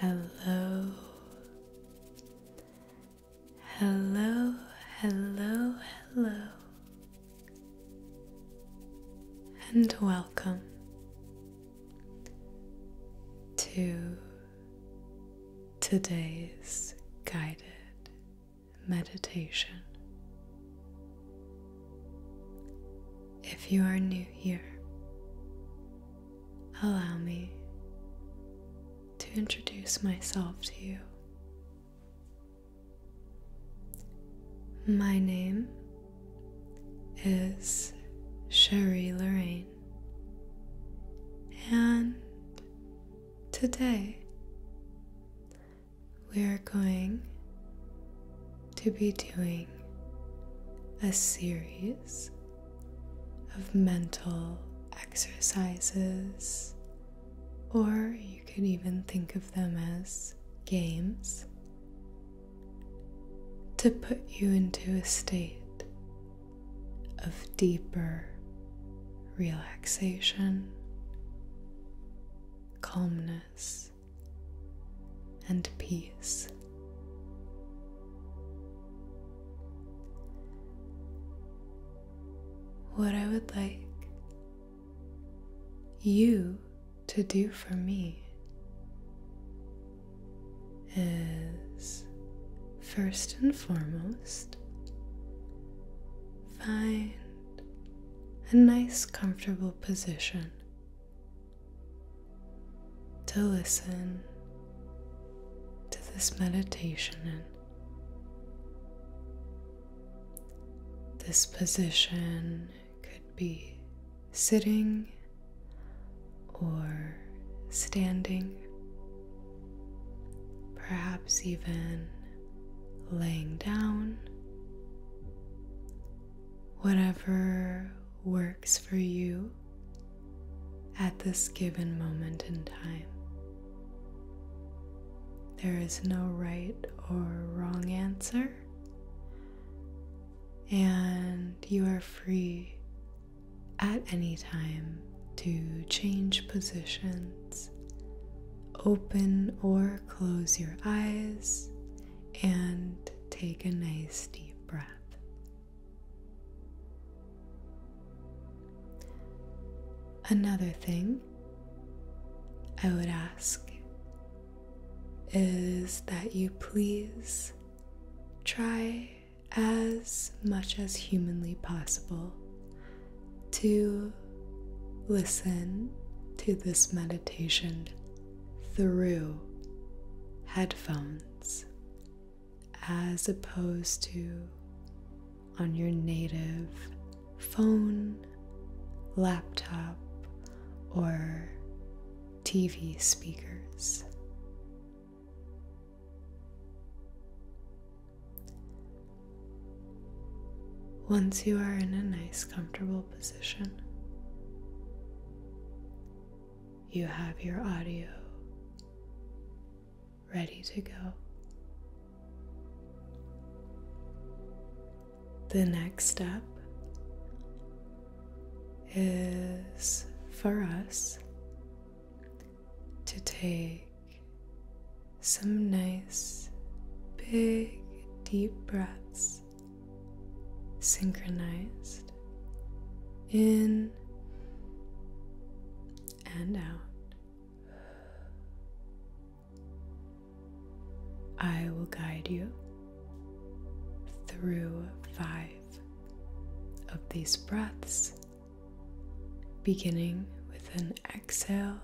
Hello, hello, hello, hello, and welcome to today's guided meditation. If you are new here, allow me to introduce myself to you. My name is Sherry Lorraine, and Today, we are going to be doing a series of mental exercises, or you could even think of them as games, to put you into a state of deeper relaxation, calmness, and peace. What I would like you to do for me is first and foremost Find a nice, comfortable position to listen to this meditation in. This position could be sitting or standing perhaps even laying down, whatever works for you at this given moment in time. There is no right or wrong answer, and you are free at any time to change positions, open or close your eyes, and take a nice deep breath. Another thing I would ask is that you please try as much as humanly possible to listen to this meditation through headphones as opposed to on your native phone, laptop, or TV speakers. Once you are in a nice, comfortable position, you have your audio ready to go. The next step is for us to take some nice, big, deep breaths synchronized in and out. I will guide you through five of these breaths beginning with an exhale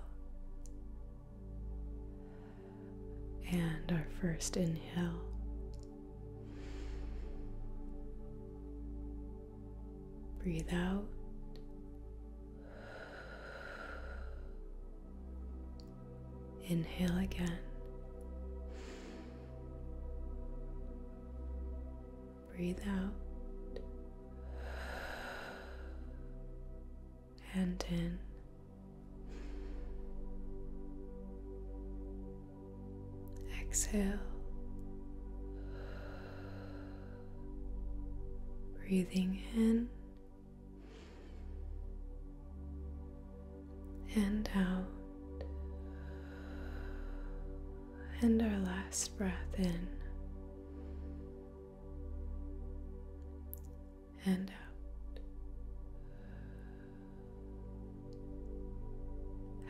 and our first inhale. Breathe out. Inhale again breathe out and in. Exhale, breathing in and out, and our last breath in and out.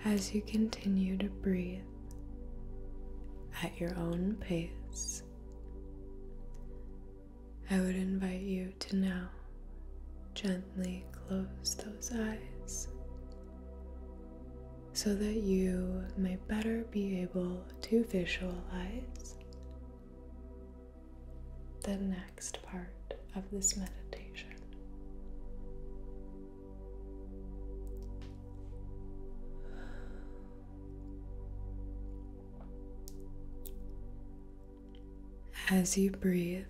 As you continue to breathe at your own pace, I would invite you to now gently close those eyes so that you may better be able to visualize the next part of this meditation. As you breathe,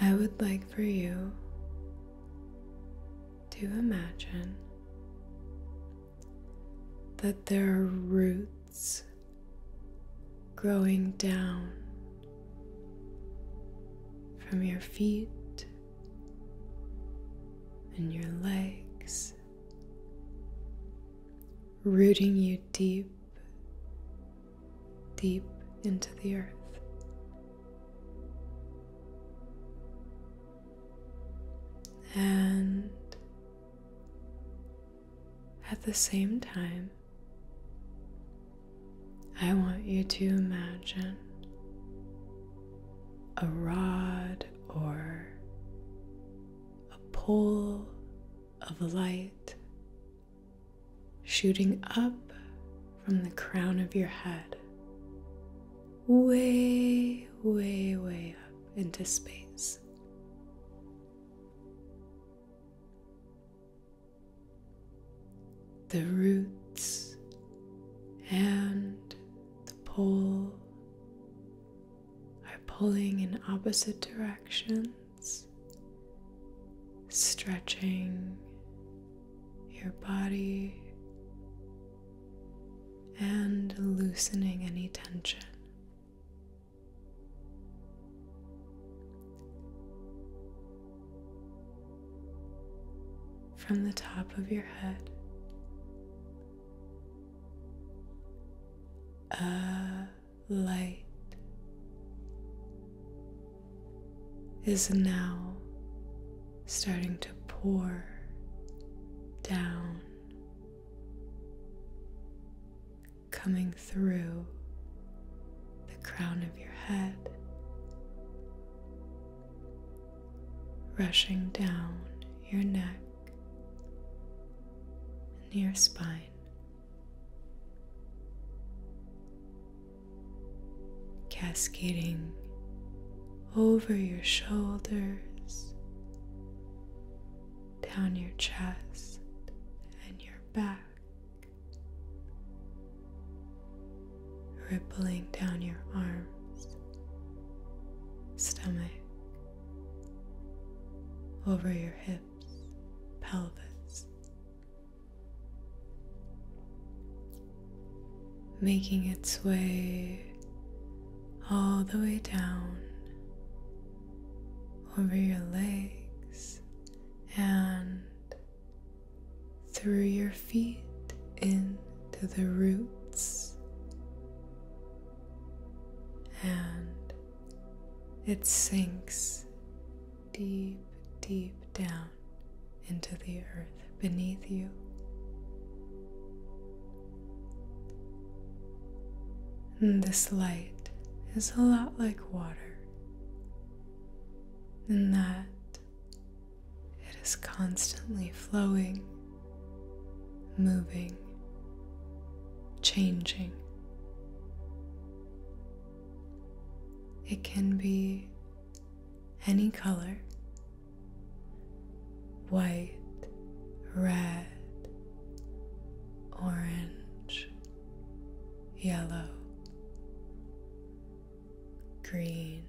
I would like for you to imagine that there are roots growing down from your feet and your legs, rooting you deep, deep into the earth. And at the same time, I want you to imagine a rod or a pole of light shooting up from the crown of your head way, way, way up into space. The roots and the pole are pulling in opposite directions, stretching your body and loosening any tension. From the top of your head a light is now starting to pour down, coming through the crown of your head, rushing down your neck and your spine cascading over your shoulders, down your chest and your back, rippling down your arms, stomach, over your hips, pelvis, making its way all the way down over your legs and through your feet into the roots and it sinks deep, deep down into the earth beneath you. And this light is a lot like water, in that it is constantly flowing, moving, changing. It can be any color white, red, orange, yellow, green,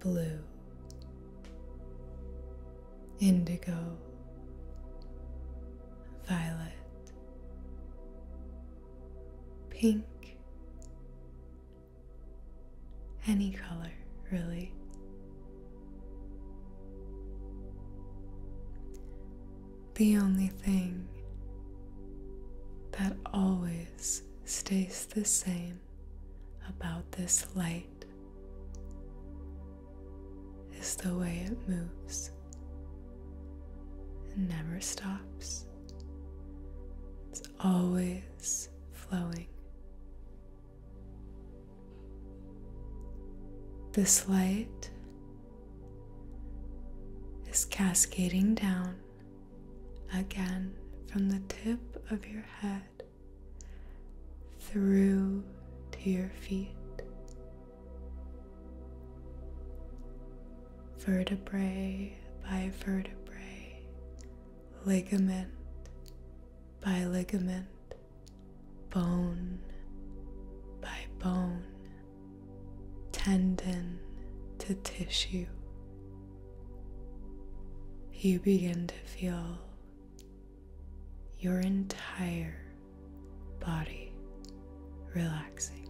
blue, indigo, violet, pink. Any color, really. The only thing that always stays the same about this light is the way it moves and never stops. It's always flowing. This light is cascading down again from the tip of your head through to your feet vertebrae by vertebrae, ligament by ligament, bone by bone, tendon to tissue. You begin to feel your entire body relaxing.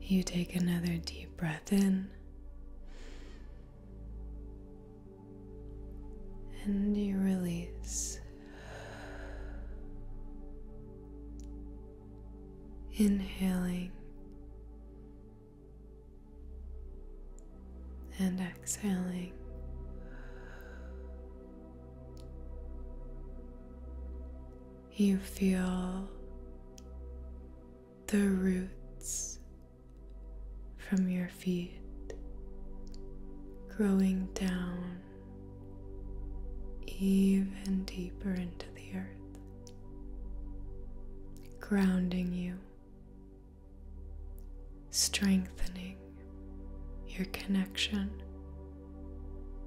You take another deep breath in. And you release. Inhaling and exhaling. You feel the roots from your feet growing down even deeper into the earth, grounding you, strengthening your connection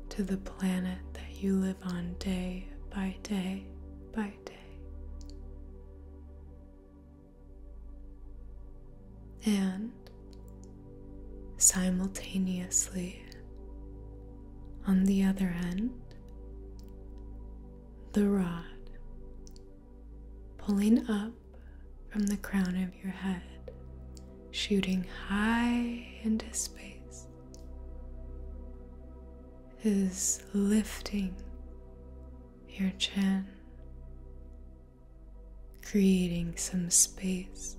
to the planet that you live on day by day by day. And simultaneously, on the other end, the rod pulling up from the crown of your head, shooting high into space, is lifting your chin, creating some space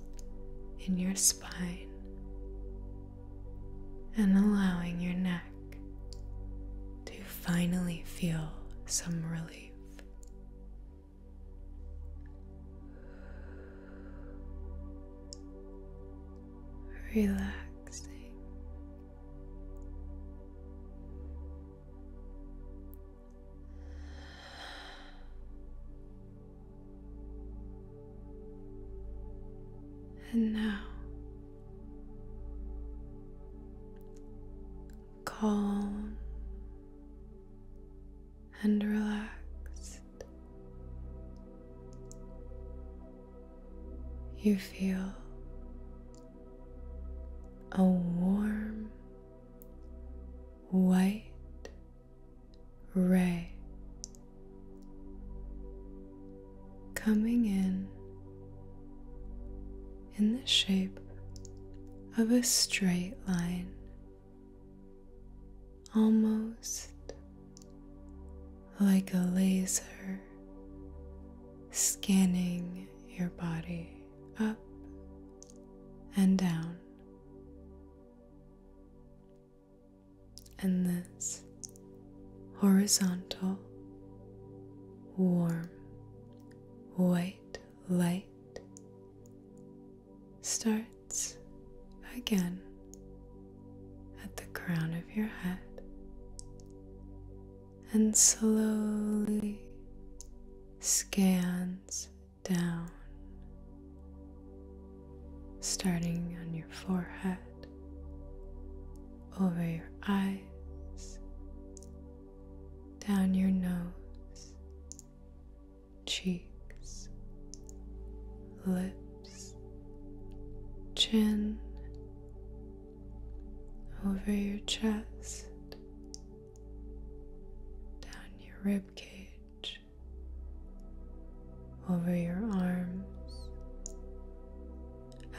in your spine, and allowing your neck to finally feel some relief relaxing, and now calm and relaxed. You feel a warm white ray coming in in the shape of a straight line almost like a laser scanning your body up and down. And this horizontal, warm, white light starts again at the crown of your head and slowly scans down, starting on your forehead, over your eyes, down your nose, cheeks, lips, chin, over your chest, down your rib cage, over your arms,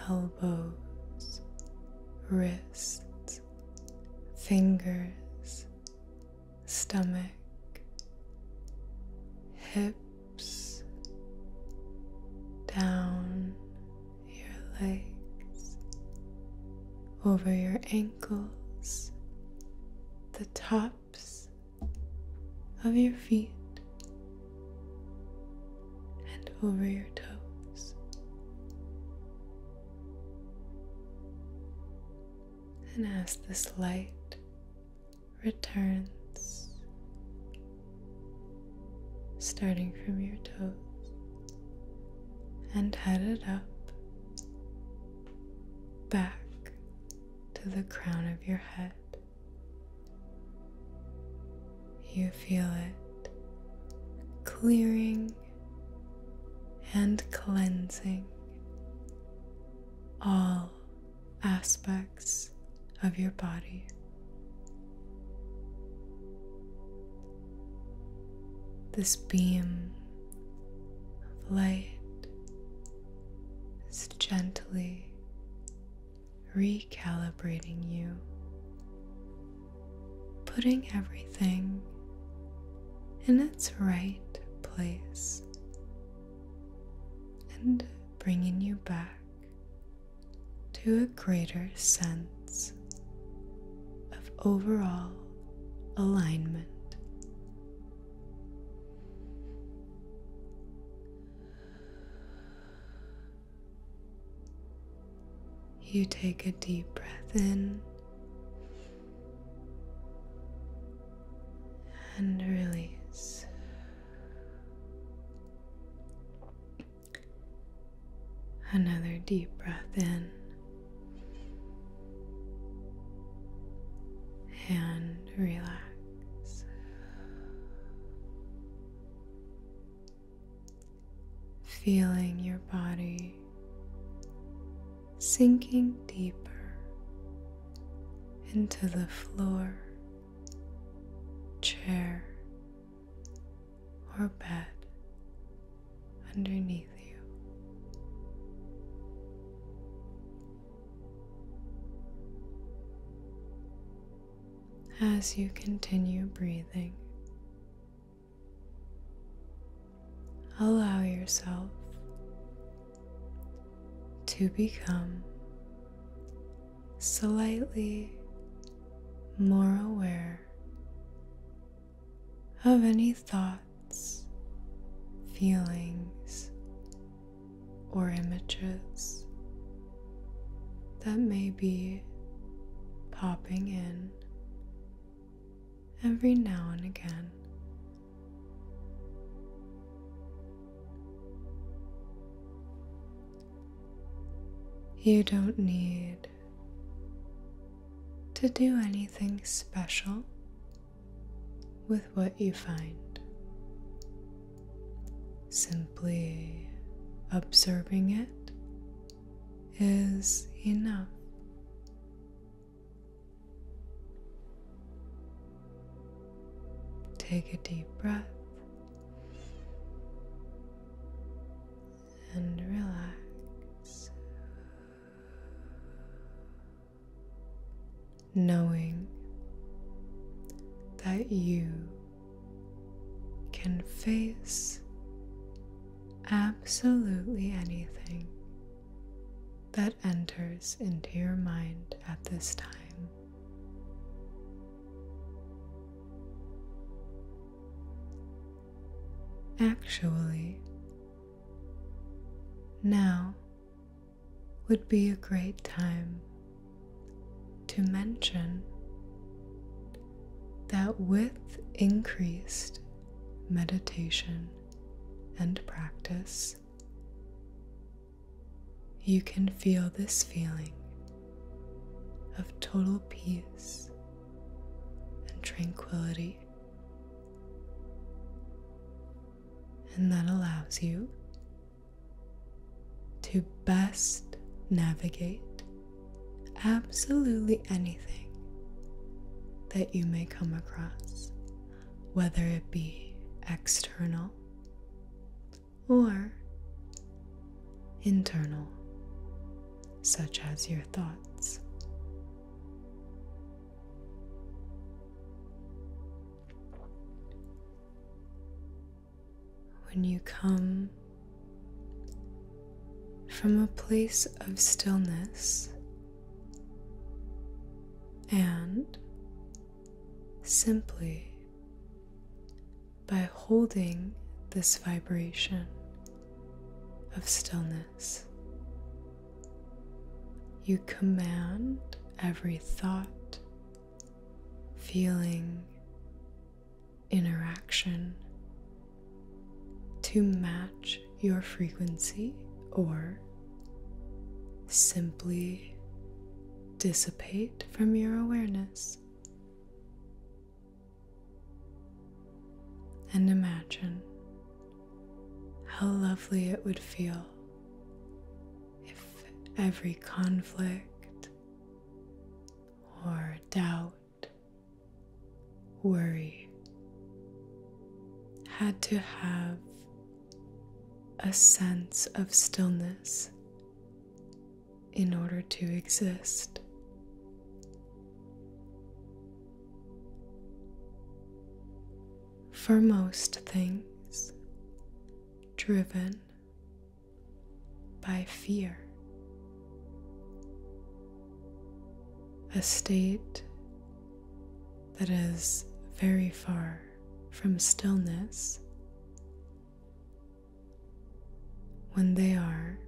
elbows, wrists, fingers, stomach, hips, down your legs, over your ankles, the tops of your feet, and over your toes. And as this light returns, starting from your toes and headed up back to the crown of your head. You feel it clearing and cleansing all aspects of your body. This beam of light is gently recalibrating you, putting everything in its right place and bringing you back to a greater sense of overall alignment. You take a deep breath in and release. Another deep breath in and relax. Feeling your body sinking deeper into the floor, chair, or bed underneath you. As you continue breathing, allow yourself to become slightly more aware of any thoughts, feelings, or images that may be popping in every now and again. You don't need to do anything special with what you find. Simply observing it is enough. Take a deep breath and relax, knowing that you can face absolutely anything that enters into your mind at this time. Actually, now would be a great time to mention that with increased meditation and practice, you can feel this feeling of total peace and tranquility, and that allows you to best navigate absolutely anything that you may come across whether it be external or internal, such as your thoughts. When you come from a place of stillness and simply by holding this vibration of stillness, you command every thought, feeling, interaction to match your frequency or simply dissipate from your awareness. And imagine how lovely it would feel if every conflict or doubt, worry had to have a sense of stillness in order to exist. For most things, driven by fear, a state that is very far from stillness when they are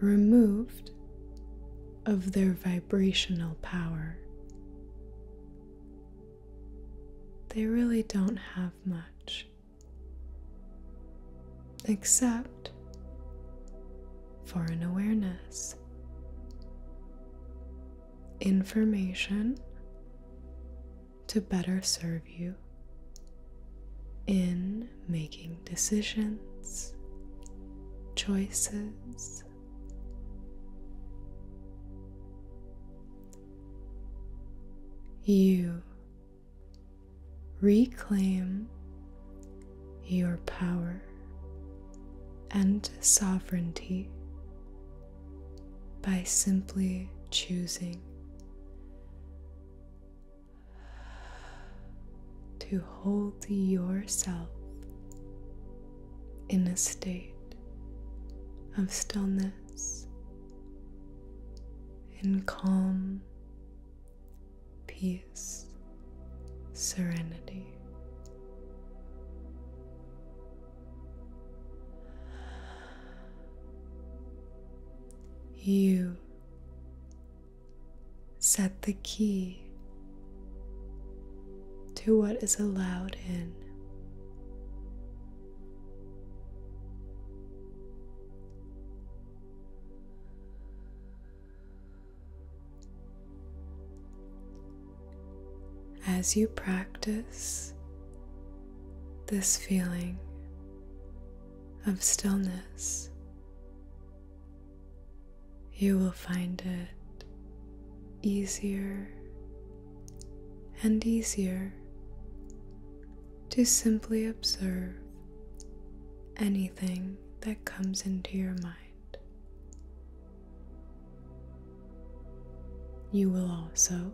removed of their vibrational power. They really don't have much except for an awareness information to better serve you in making decisions, choices. You reclaim your power and sovereignty by simply choosing to hold yourself in a state of stillness in calm peace serenity. You set the key to what is allowed in. As you practice this feeling of stillness, you will find it easier and easier to simply observe anything that comes into your mind. You will also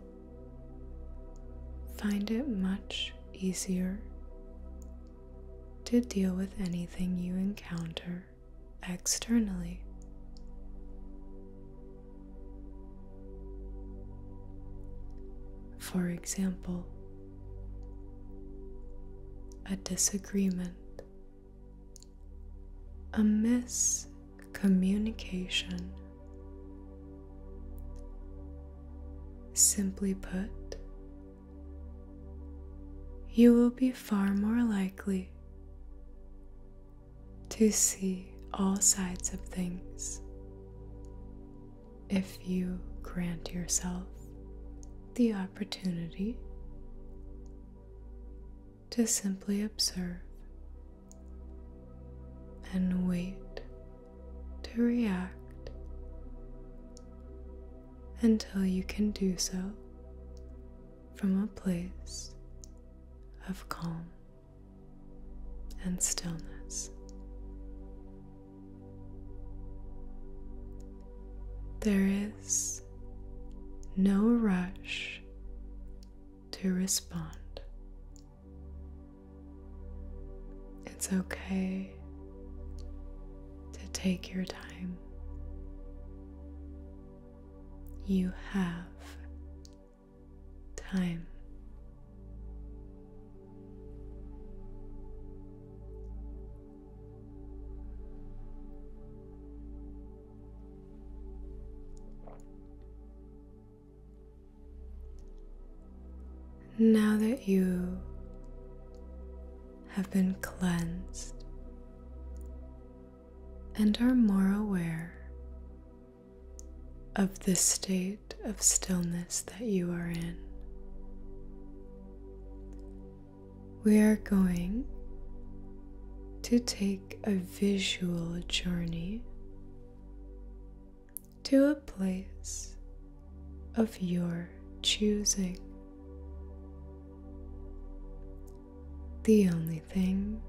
find it much easier to deal with anything you encounter externally. For example, a disagreement a miscommunication. Simply put, you will be far more likely to see all sides of things if you grant yourself the opportunity to simply observe and wait to react until you can do so from a place of calm and stillness. There is no rush to respond. It's okay to take your time. You have time. Now that you have been cleansed and are more aware of the state of stillness that you are in, we are going to take a visual journey to a place of your choosing. The only thing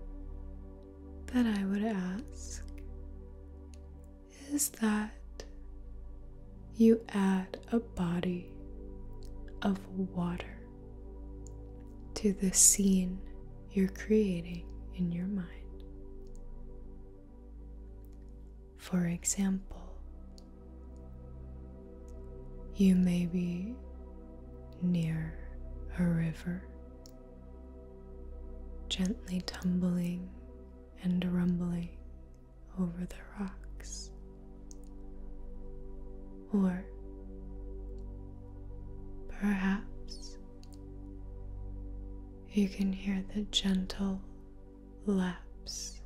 that I would ask is that you add a body of water to the scene you're creating in your mind. For example, you may be near a river, gently tumbling and rumbling over the rocks or perhaps you can hear the gentle laps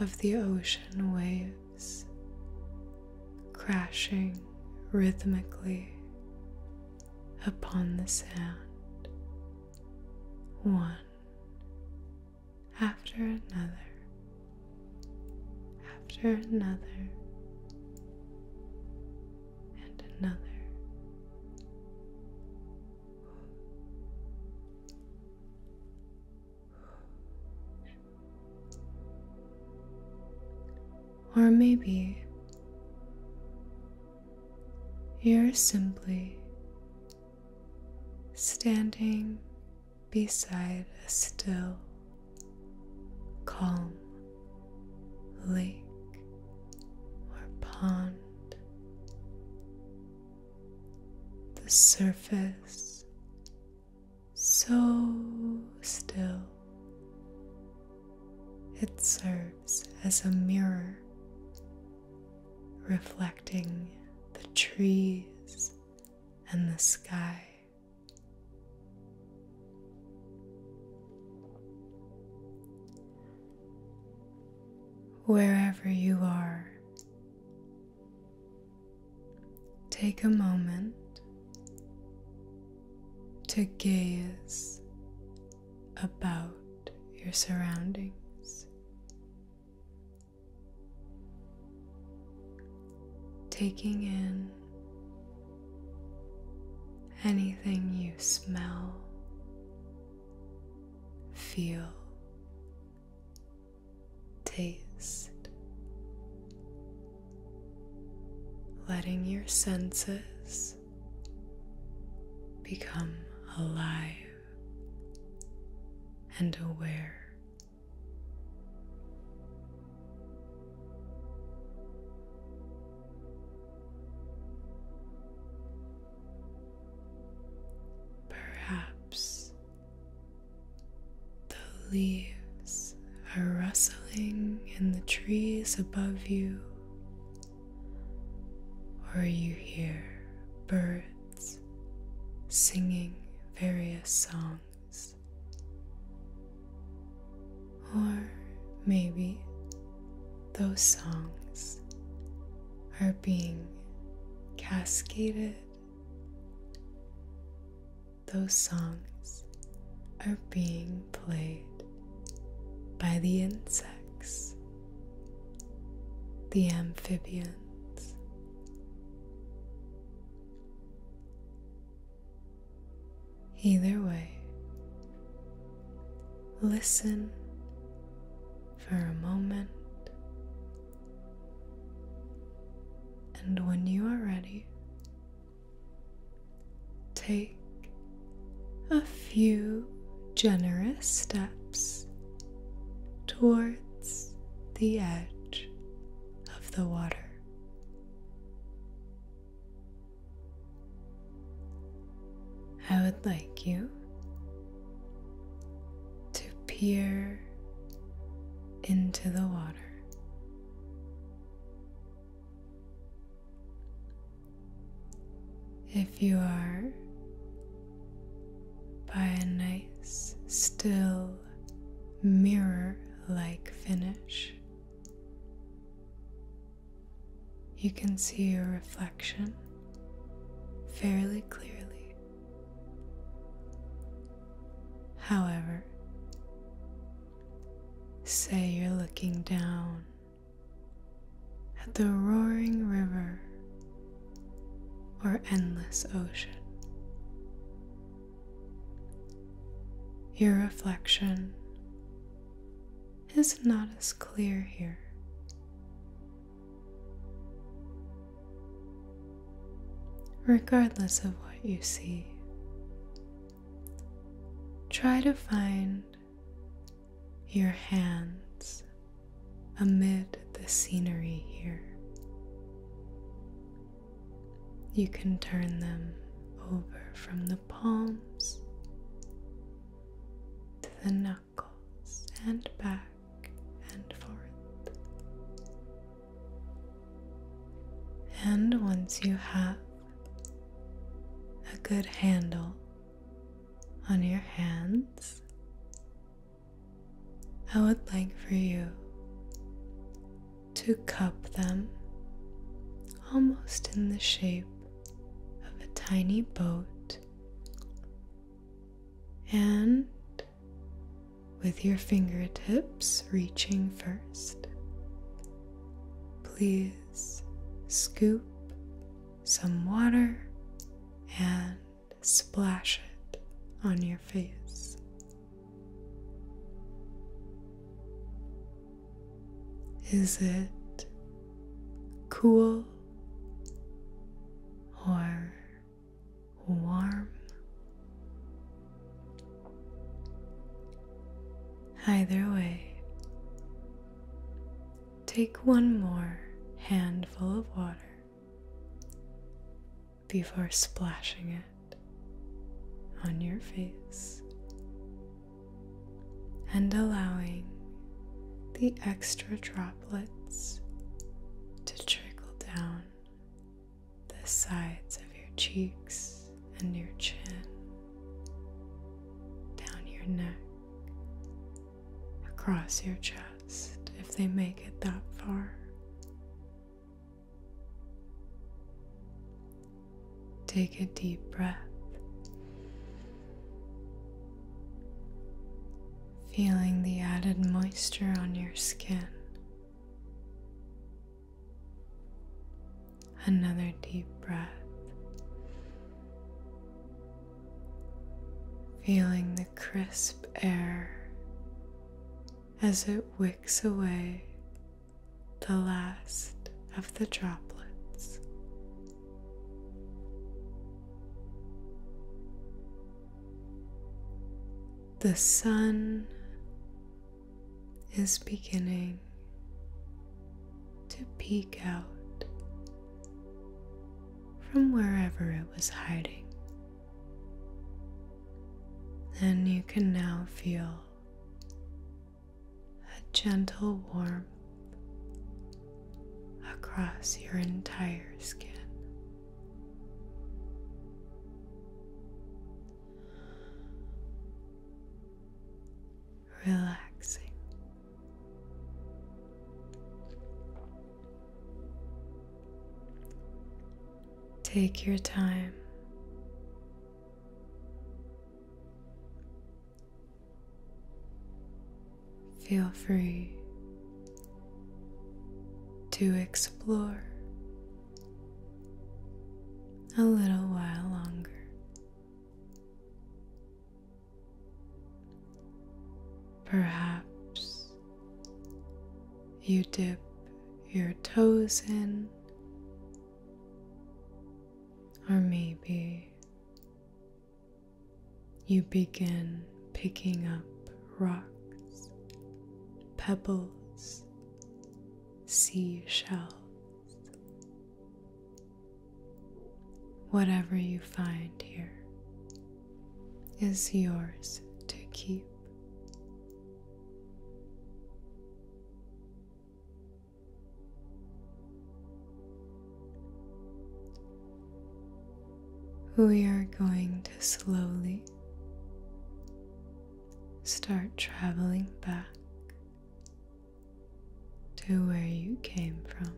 of the ocean waves crashing rhythmically upon the sand, one after another after another and another. Or maybe you're simply standing beside a still, calm lake or pond. The surface so still, it serves as a mirror reflecting the trees and the sky. Wherever you are, take a moment to gaze about your surroundings taking in anything you smell, feel, taste, letting your senses become alive and aware. Perhaps the leaves are rustling in the trees above you, or you hear birds singing various songs. Or maybe those songs are being cascaded. Those songs are being played by the insects, the amphibians. Either way, listen for a moment, and when you are ready, take a few generous steps towards the edge of the water. I would like you to peer into the water. If you are by a nice, still mirror like finish. You can see your reflection fairly clearly. However, say you're looking down at the roaring river or endless ocean. Your reflection is not as clear here. Regardless of what you see, try to find your hands amid the scenery here. You can turn them over from the palms to the knuckles and back and forth. And once you have a good handle on your hands, I would like for you to cup them almost in the shape of a tiny boat, and with your fingertips reaching first, please scoop some water and splash it on your face. Is it cool or warm? Either way, take one more handful of water before splashing it on your face and allowing the extra droplets to trickle down the sides of your cheeks and your chin, down your neck, across your chest if they make it that far, Take a deep breath, feeling the added moisture on your skin. Another deep breath, feeling the crisp air as it wicks away the last of the droplets. The sun is beginning to peek out from wherever it was hiding. And you can now feel a gentle warmth across your entire skin. Relaxing. Take your time Feel free to explore a little while longer. Perhaps you dip your toes in or maybe you begin picking up rocks, pebbles, seashells. Whatever you find here is yours to keep. We are going to slowly start traveling back to where you came from.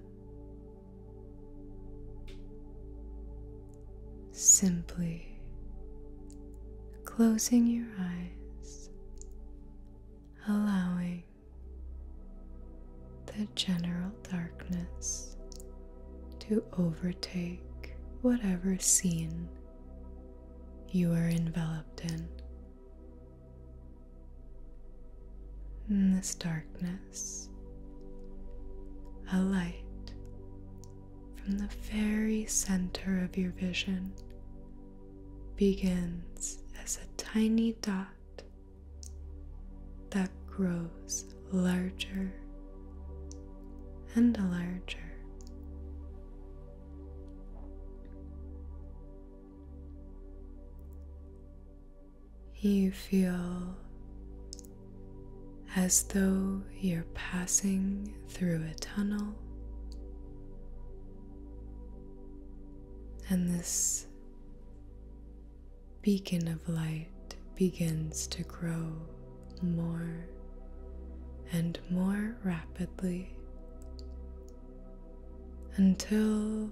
Simply closing your eyes, allowing the general darkness to overtake whatever scene you are enveloped in. In this darkness, a light from the very center of your vision begins as a tiny dot that grows larger and larger. You feel as though you're passing through a tunnel. And this beacon of light begins to grow more and more rapidly until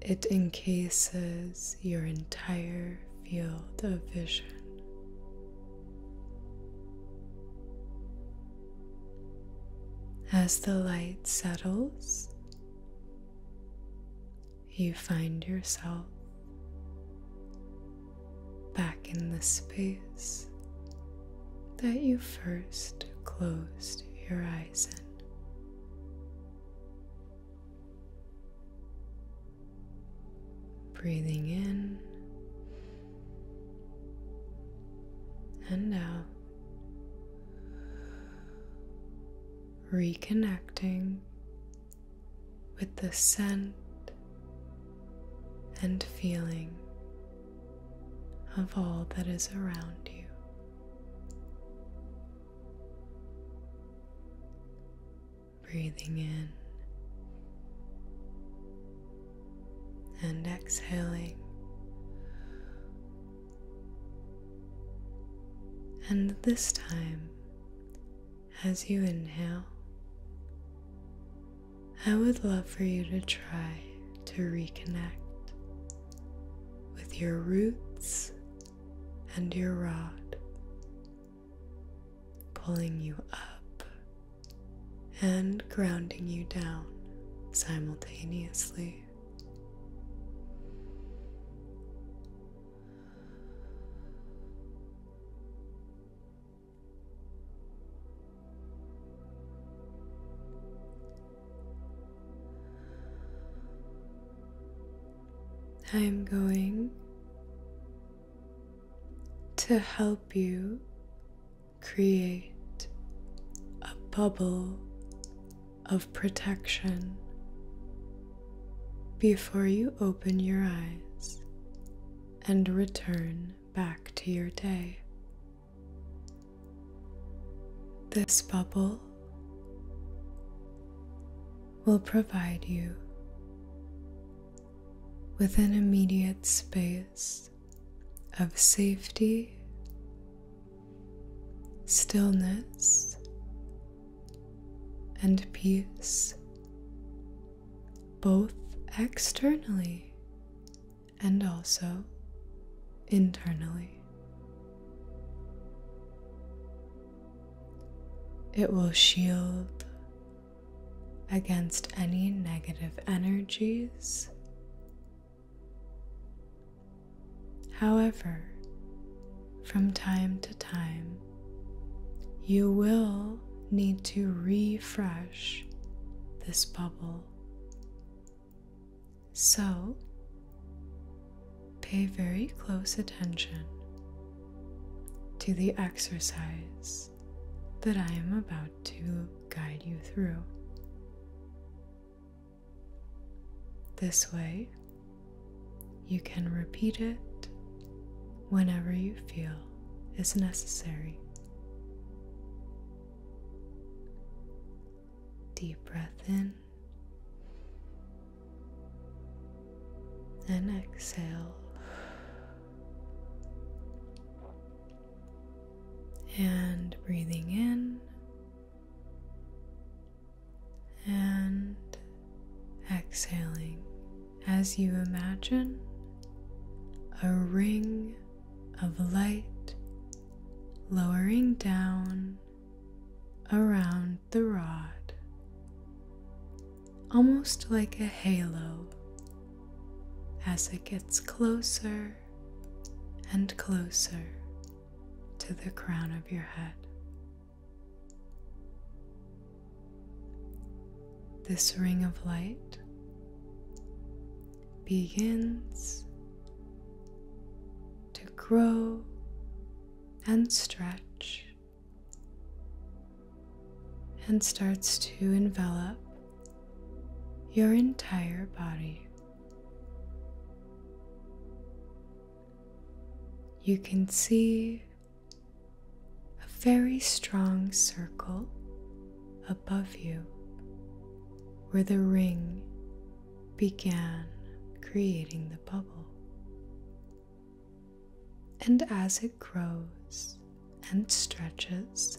it encases your entire field of vision. As the light settles, you find yourself back in the space that you first closed your eyes in. Breathing in and now, reconnecting with the scent and feeling of all that is around you. Breathing in and exhaling. And this time, as you inhale, I would love for you to try to reconnect with your roots and your rod, pulling you up and grounding you down simultaneously. I'm going to help you create a bubble of protection before you open your eyes and return back to your day. This bubble will provide you with an immediate space of safety, stillness, and peace, both externally and also internally. It will shield against any negative energies. However, from time to time, you will need to refresh this bubble. So, pay very close attention to the exercise that I am about to guide you through. This way, you can repeat it whenever you feel is necessary. Deep breath in and exhale and breathing in and exhaling as you imagine a ring of light lowering down around the rod, almost like a halo as it gets closer and closer to the crown of your head. This ring of light begins to grow and stretch and starts to envelop your entire body. You can see a very strong circle above you where the ring began creating the bubble. And as it grows, and stretches,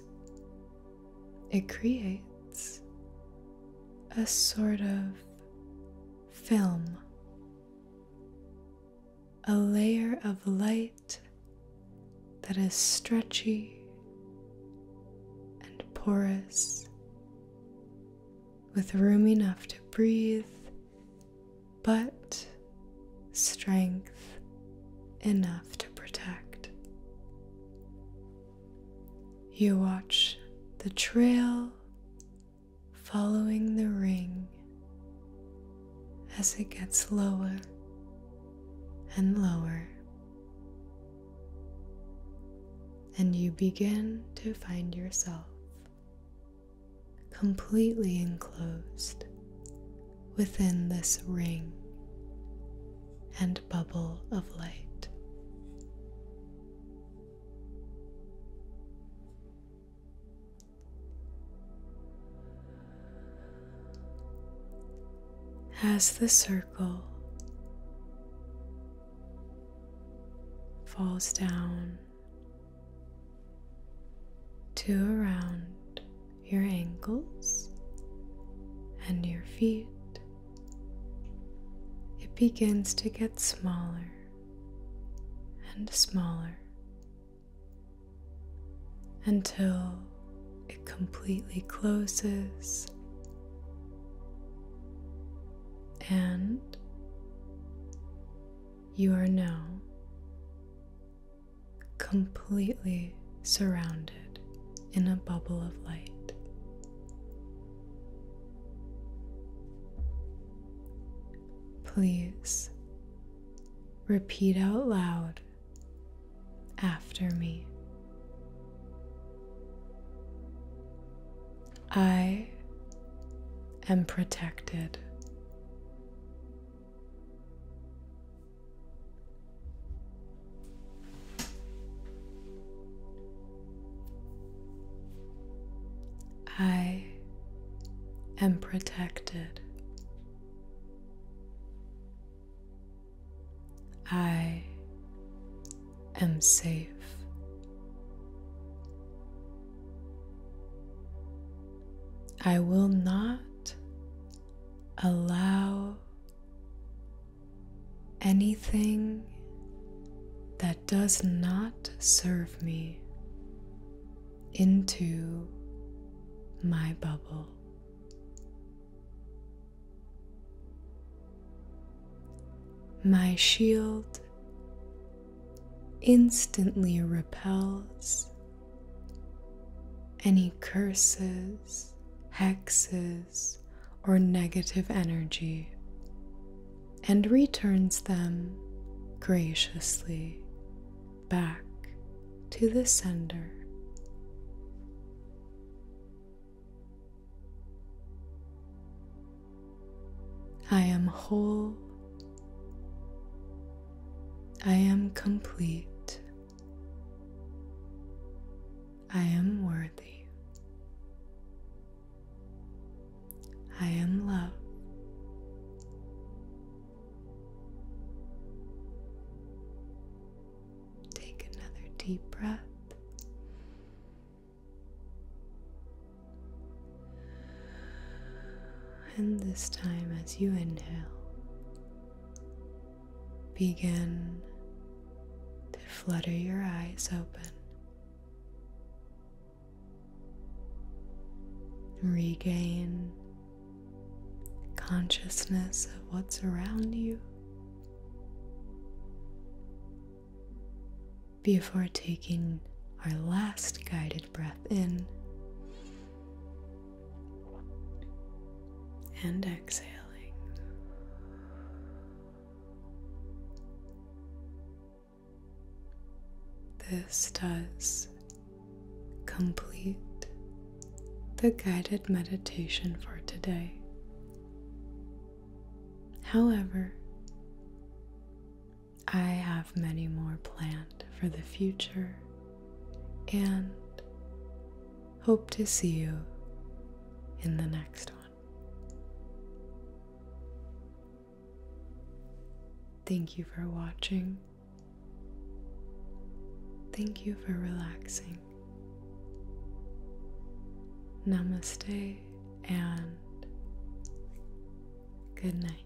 it creates a sort of film, a layer of light that is stretchy and porous, with room enough to breathe, but strength enough to protect. You watch the trail following the ring as it gets lower and lower, and you begin to find yourself completely enclosed within this ring and bubble of light. As the circle falls down to a round your ankles and your feet, it begins to get smaller and smaller until it completely closes and you are now completely surrounded in a bubble of light. Please repeat out loud after me. I am protected. I am protected. I am safe. I will not allow Anything that does not serve me into my bubble. My shield instantly repels any curses hexes, or negative energy and returns them graciously back to the sender. I am whole. I am complete. I am worthy. I am love. Take another deep breath. And this time, as you inhale, begin to flutter your eyes open. Regain consciousness of what's around you before taking our last guided breath in and exhaling. This does complete the guided meditation for today. However, I have many more planned for the future and Hope to see you in the next one. Thank you for watching. Thank you for relaxing. Namaste and good night.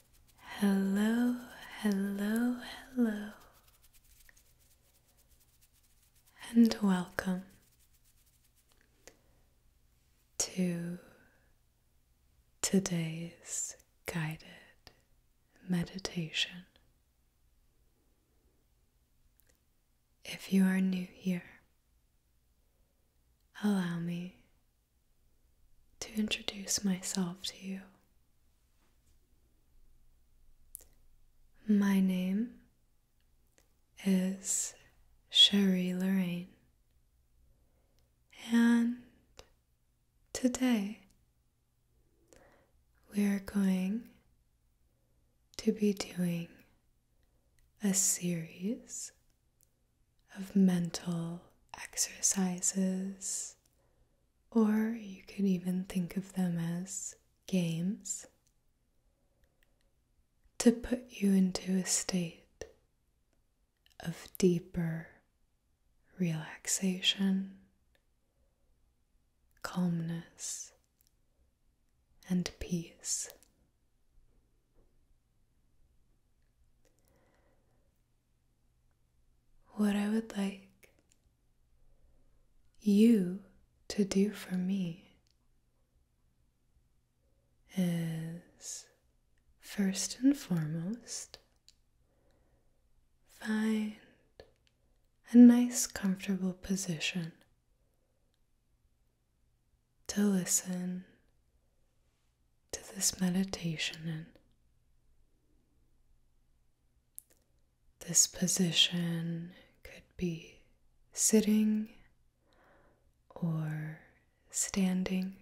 Hello, hello, hello, and welcome to today's guided meditation. If you are new here, allow me to introduce myself to you. My name is Sherry Lorraine, and today we are going to be doing a series of mental exercises or you could even think of them as games to put you into a state of deeper relaxation, calmness, and peace what I would like you to do for me is first and foremost find a nice, comfortable position to listen to this meditation in. This position could be sitting or standing,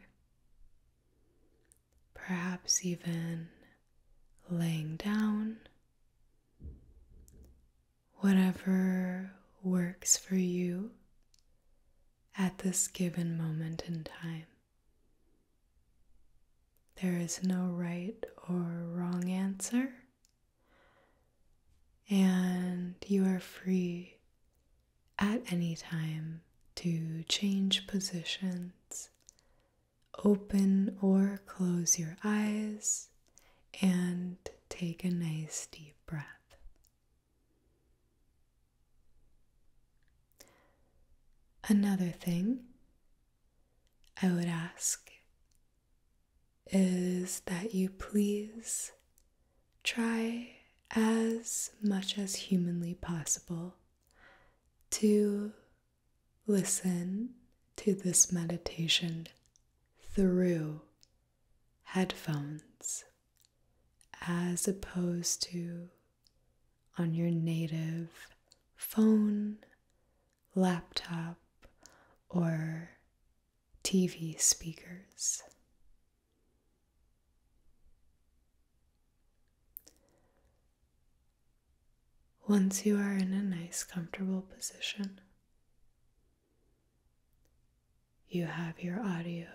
perhaps even laying down, whatever works for you at this given moment in time. There is no right or wrong answer, and you are free at any time to change positions, open or close your eyes, and take a nice deep breath. Another thing I would ask is that you please try as much as humanly possible to listen to this meditation through headphones as opposed to on your native phone, laptop, or TV speakers. Once you are in a nice, comfortable position, you have your audio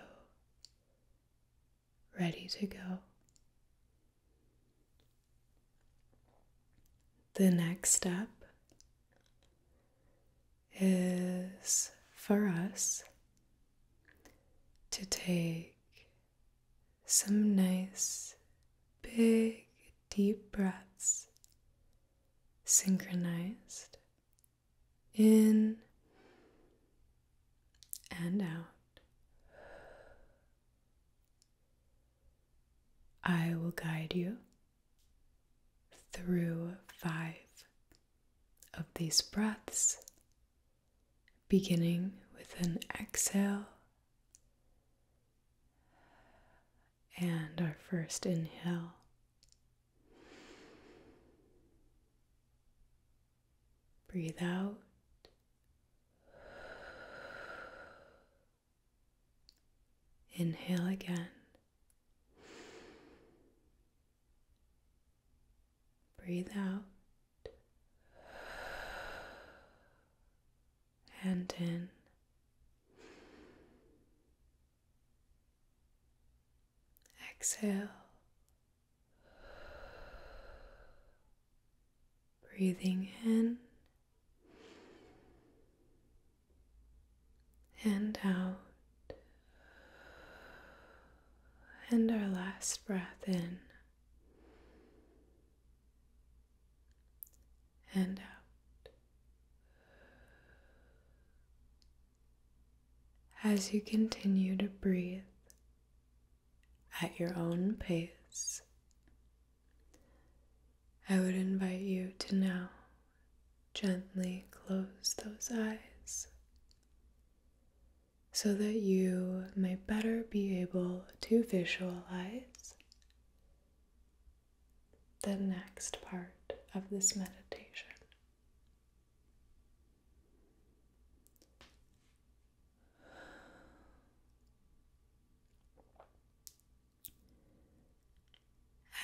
ready to go. The next step is for us to take some nice, big, deep breaths synchronized in and out. I will guide you through five of these breaths, beginning with an exhale and our first inhale. Breathe out. Inhale again. Breathe out. And in. Exhale Breathing in and out. And our last breath in and out. As you continue to breathe, at your own pace, I would invite you to now gently close those eyes so that you may better be able to visualize the next part of this meditation.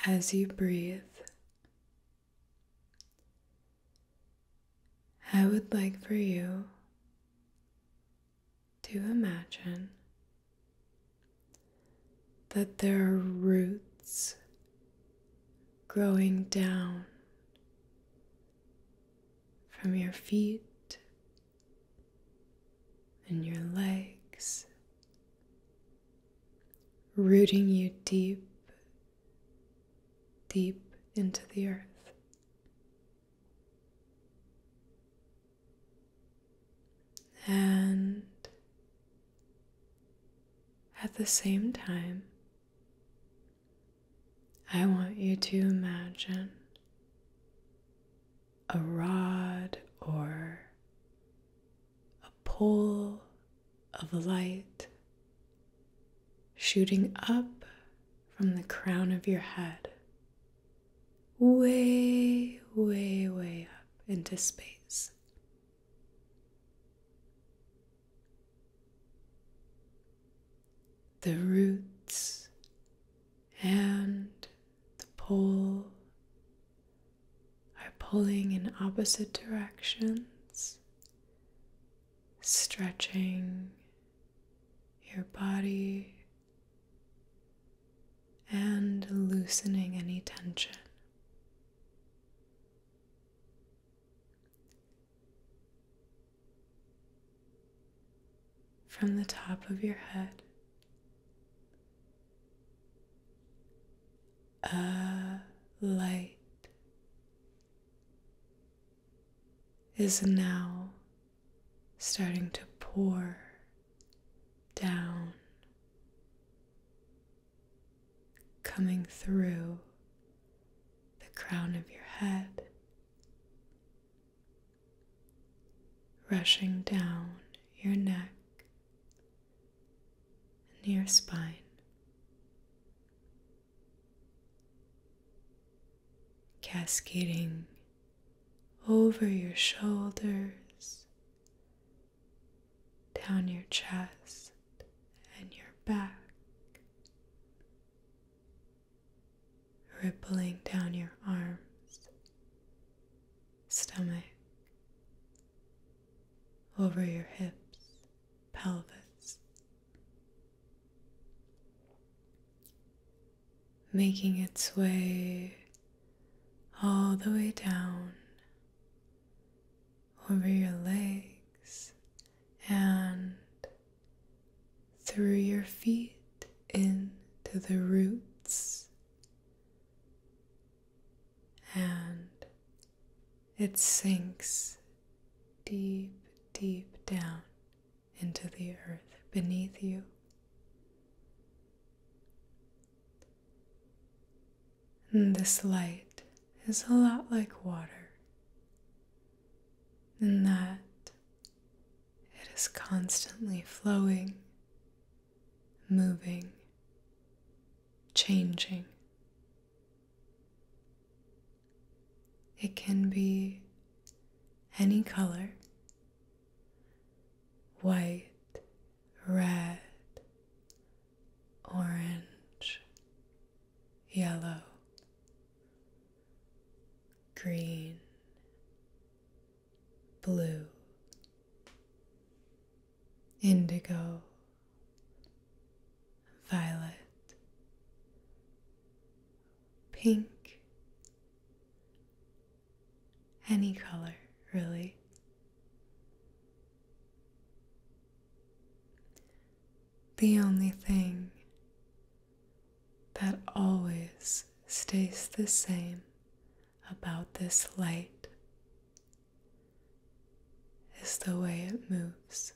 As you breathe, I would like for you to imagine that there are roots growing down from your feet and your legs, rooting you deep, deep into the earth. And at the same time, I want you to imagine a rod or a pole of light shooting up from the crown of your head, way, way, way up into space the roots and the pole are pulling in opposite directions, stretching your body and loosening any tension from the top of your head a light is now starting to pour down, coming through the crown of your head rushing down your neck and your spine. Cascading over your shoulders, down your chest and your back, rippling down your arms, stomach, over your hips, pelvis, making its way all the way down over your legs and through your feet into the roots, and it sinks deep, deep down into the earth beneath you. And this light is a lot like water, and that it is constantly flowing, moving, changing. It can be any color white, red, orange, yellow, green, blue, indigo, violet, pink, any color really. The only thing that always stays the same about this light is the way it moves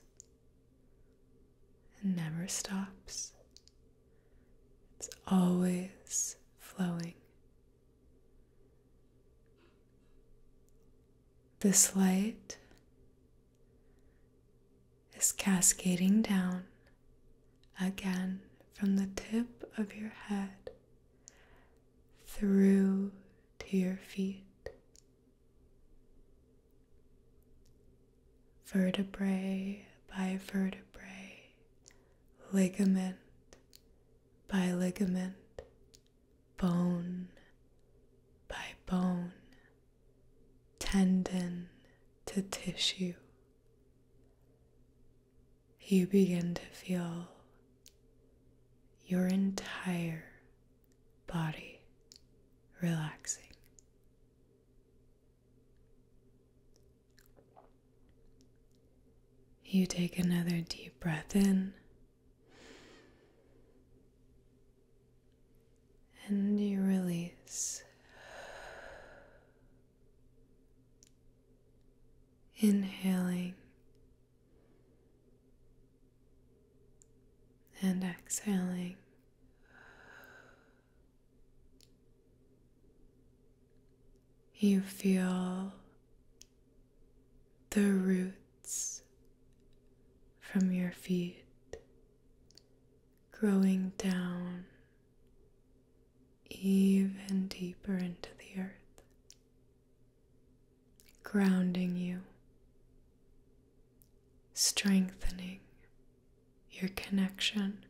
and never stops. It's always flowing. This light is cascading down again from the tip of your head through to your feet. Vertebrae by vertebrae, ligament by ligament, bone by bone, tendon to tissue you begin to feel your entire body relaxing. You take another deep breath in and you release. Inhaling and exhaling. You feel the roots from your feet growing down even deeper into the earth, grounding you, strengthening your connection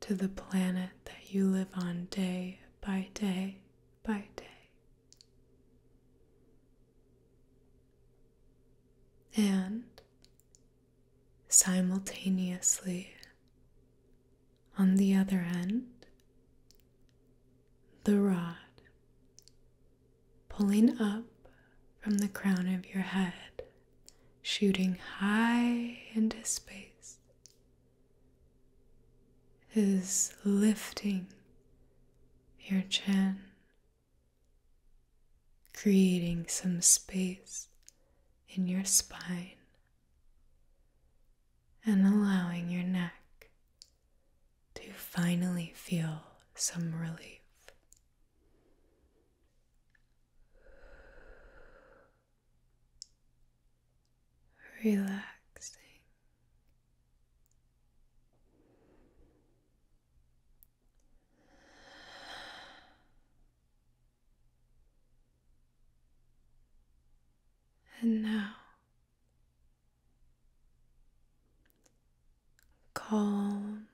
to the planet that you live on day by day by day. And simultaneously. On the other end, the rod pulling up from the crown of your head, shooting high into space, is lifting your chin creating some space in your spine and allowing your neck to finally feel some relief. Relaxing. And now, calm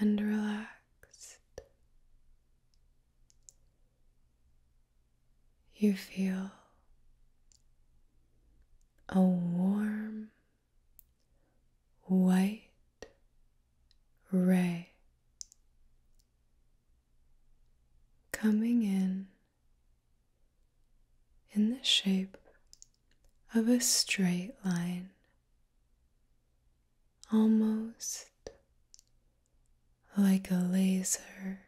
and relaxed, you feel a warm white ray coming in in the shape of a straight line, almost like a laser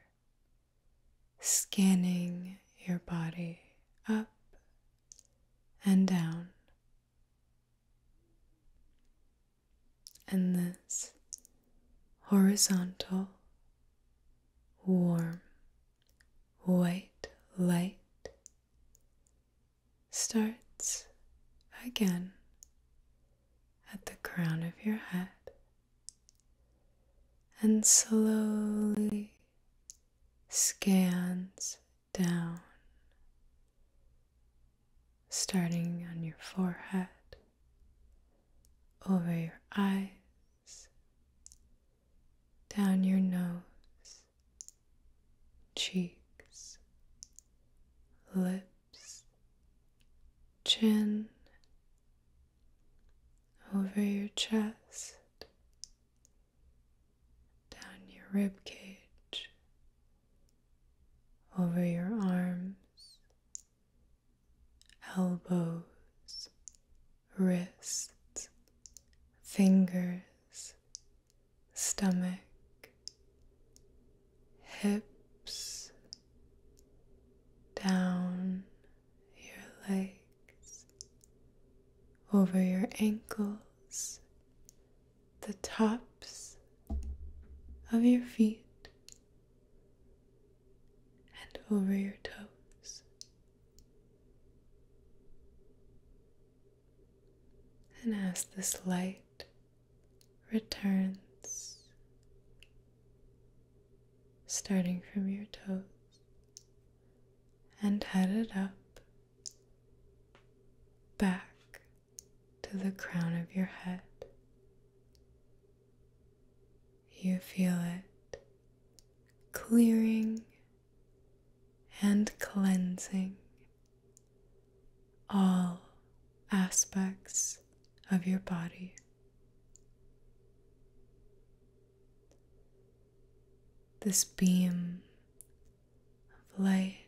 scanning your body up and down and this horizontal, warm, white light starts again at the crown of your head and slowly scans down, starting on your forehead, over your eyes, down your nose, cheeks, lips, chin, over your chest, down your rib cage, over your arms, elbows, wrists, fingers, stomach, hips, down your legs, over your ankles the tops of your feet and over your toes. And as this light returns, starting from your toes and headed up back to the crown of your head. You feel it clearing and cleansing all aspects of your body. This beam of light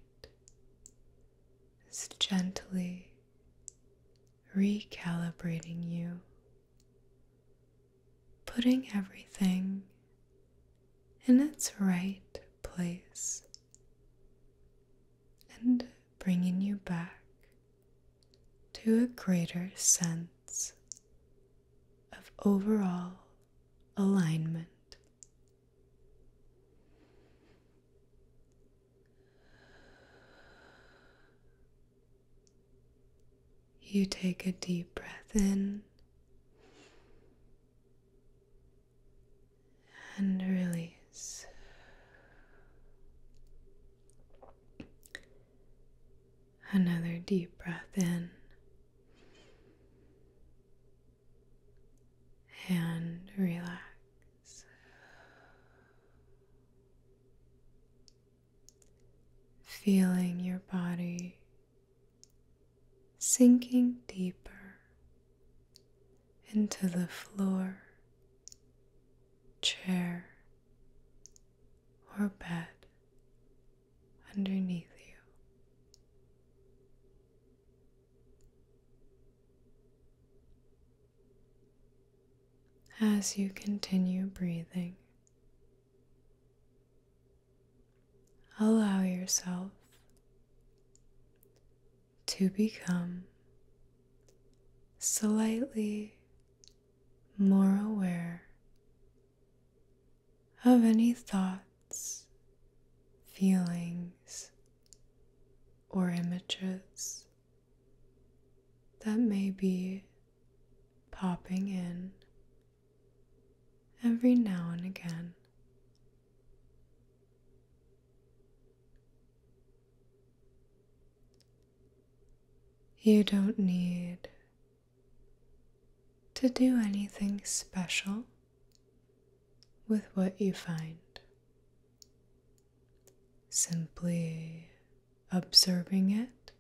is gently recalibrating you, putting everything in its right place and bringing you back to a greater sense of overall alignment you take a deep breath in and release. Another deep breath in and relax. Feeling your body sinking deeper into the floor, chair, or bed underneath you. As you continue breathing, allow yourself to become slightly more aware of any thoughts feelings, or images that may be popping in every now and again. You don't need to do anything special with what you find. Simply observing it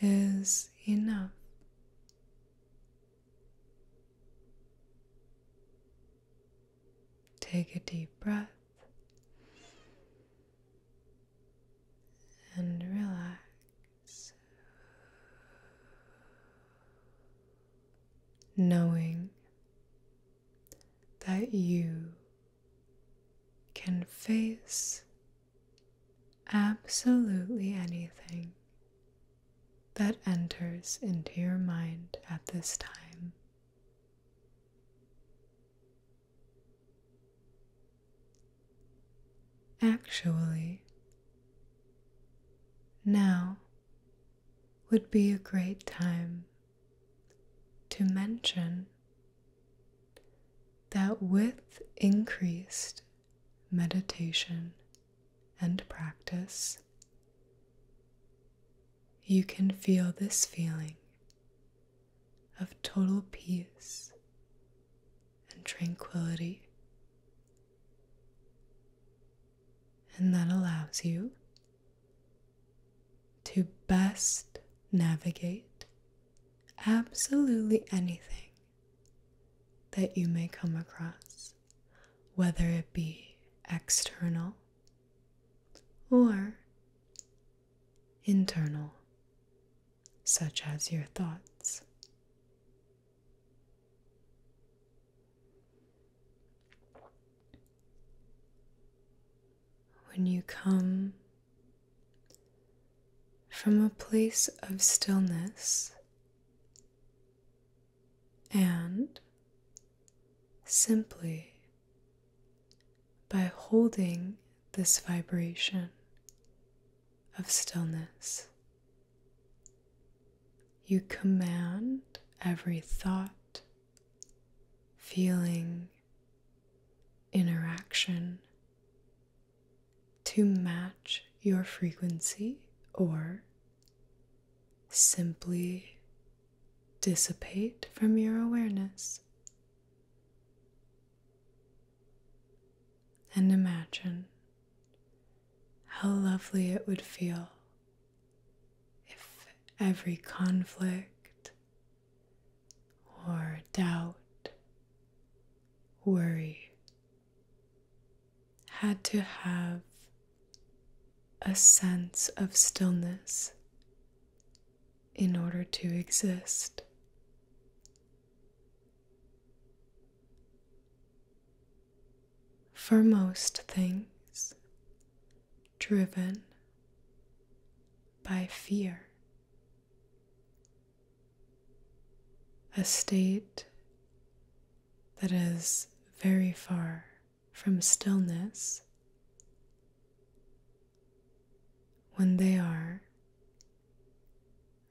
is enough. Take a deep breath and relax knowing that you can face absolutely anything that enters into your mind at this time. Actually, now would be a great time to mention that with increased meditation and practice, you can feel this feeling of total peace and tranquility and that allows you to best navigate absolutely anything that you may come across, whether it be external or internal, such as your thoughts. When you come from a place of stillness and simply by holding this vibration of stillness you command every thought, feeling, interaction to match your frequency or simply dissipate from your awareness. And imagine how lovely it would feel if every conflict or doubt, worry, had to have a sense of stillness in order to exist. For most things, driven by fear, a state that is very far from stillness when they are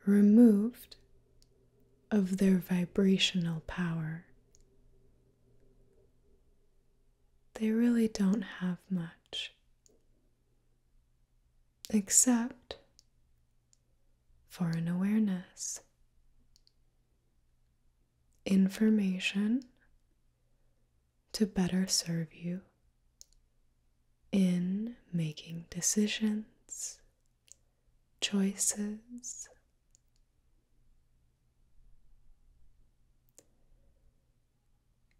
removed of their vibrational power. They really don't have much, except for an awareness, information to better serve you in making decisions choices.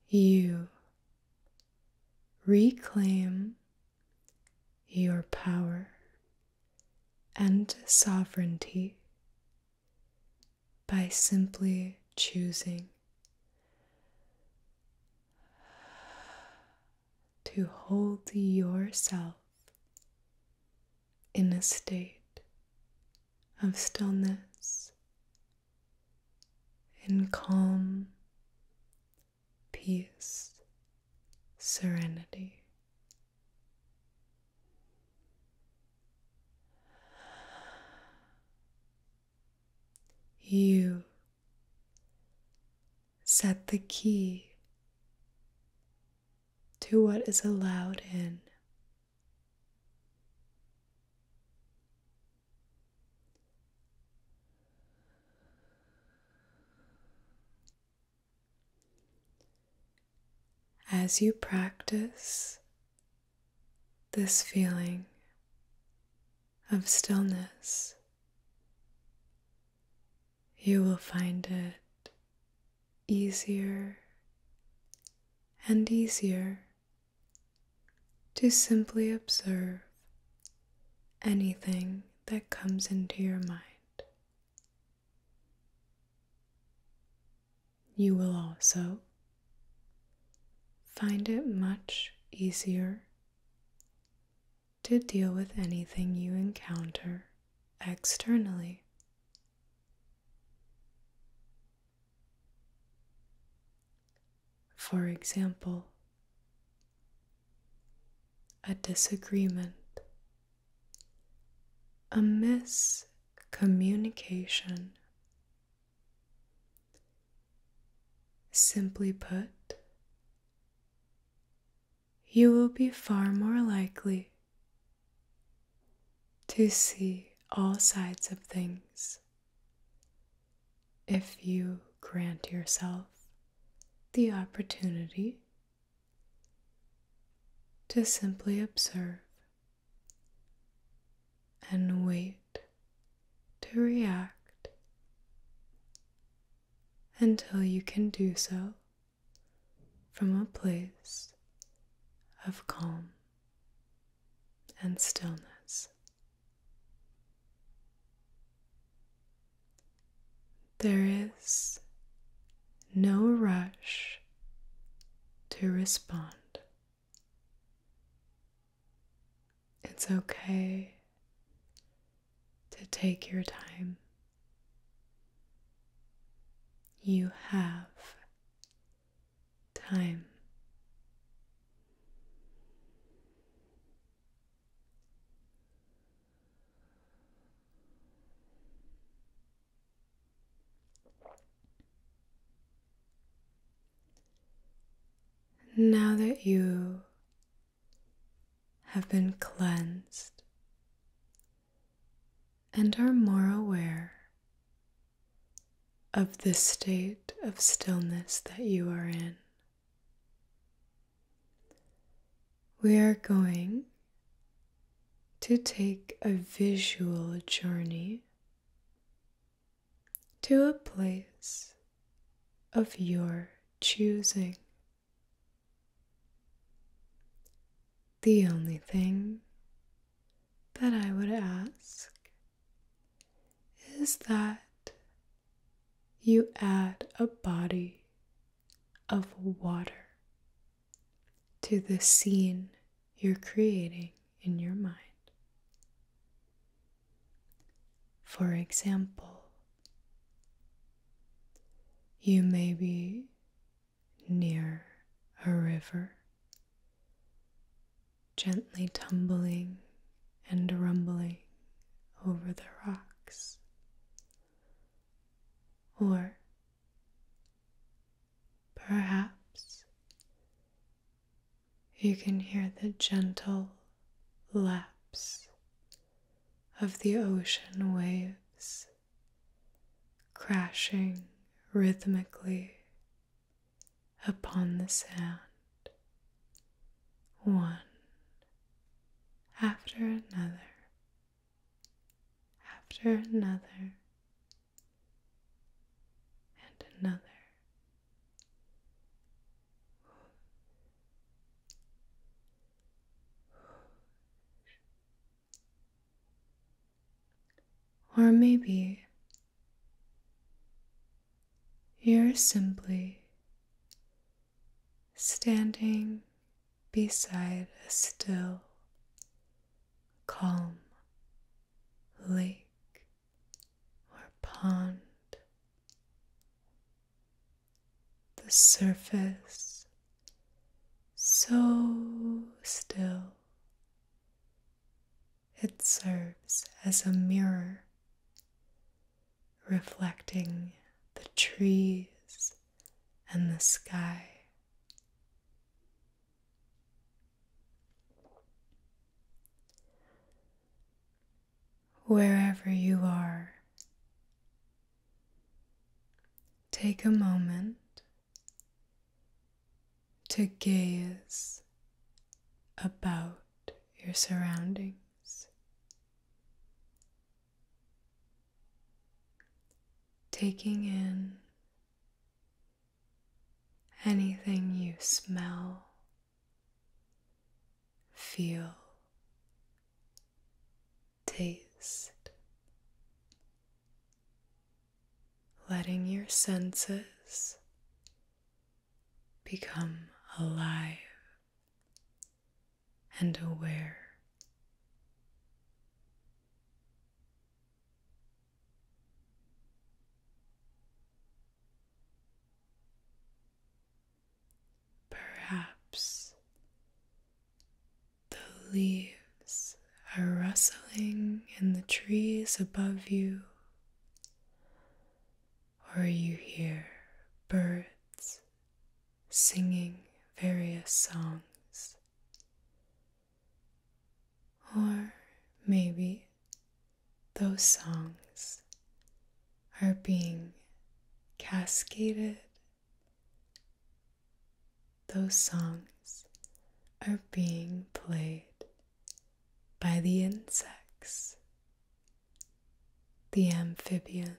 You reclaim your power and sovereignty by simply choosing to hold yourself in a state of stillness, and calm, peace, serenity. You set the key to what is allowed in. As you practice this feeling of stillness, you will find it easier and easier to simply observe anything that comes into your mind. You will also find it much easier to deal with anything you encounter externally. For example, a disagreement, a miscommunication. Simply put, you will be far more likely to see all sides of things if you grant yourself the opportunity to simply observe and wait to react until you can do so from a place of calm and stillness. There is no rush to respond. It's okay to take your time. You have time. Now that you have been cleansed and are more aware of the state of stillness that you are in. We are going to take a visual journey to a place of your choosing. The only thing that I would ask is that you add a body of water to the scene you're creating in your mind. For example, you may be near a river, gently tumbling and rumbling over the rocks, or perhaps you can hear the gentle laps of the ocean waves crashing rhythmically upon the sand, one after another, after another, and another. Or maybe you're simply standing beside a still, calm lake or pond. The surface so still. It serves as a mirror, reflecting the trees and the sky. Wherever you are, take a moment to gaze about your surroundings. Taking in anything you smell, feel, taste, letting your senses become alive and aware. Perhaps the leaves are rustling in the trees above you, or you hear birds singing various songs, or maybe those songs are being cascaded those songs are being played by the insects, the amphibians.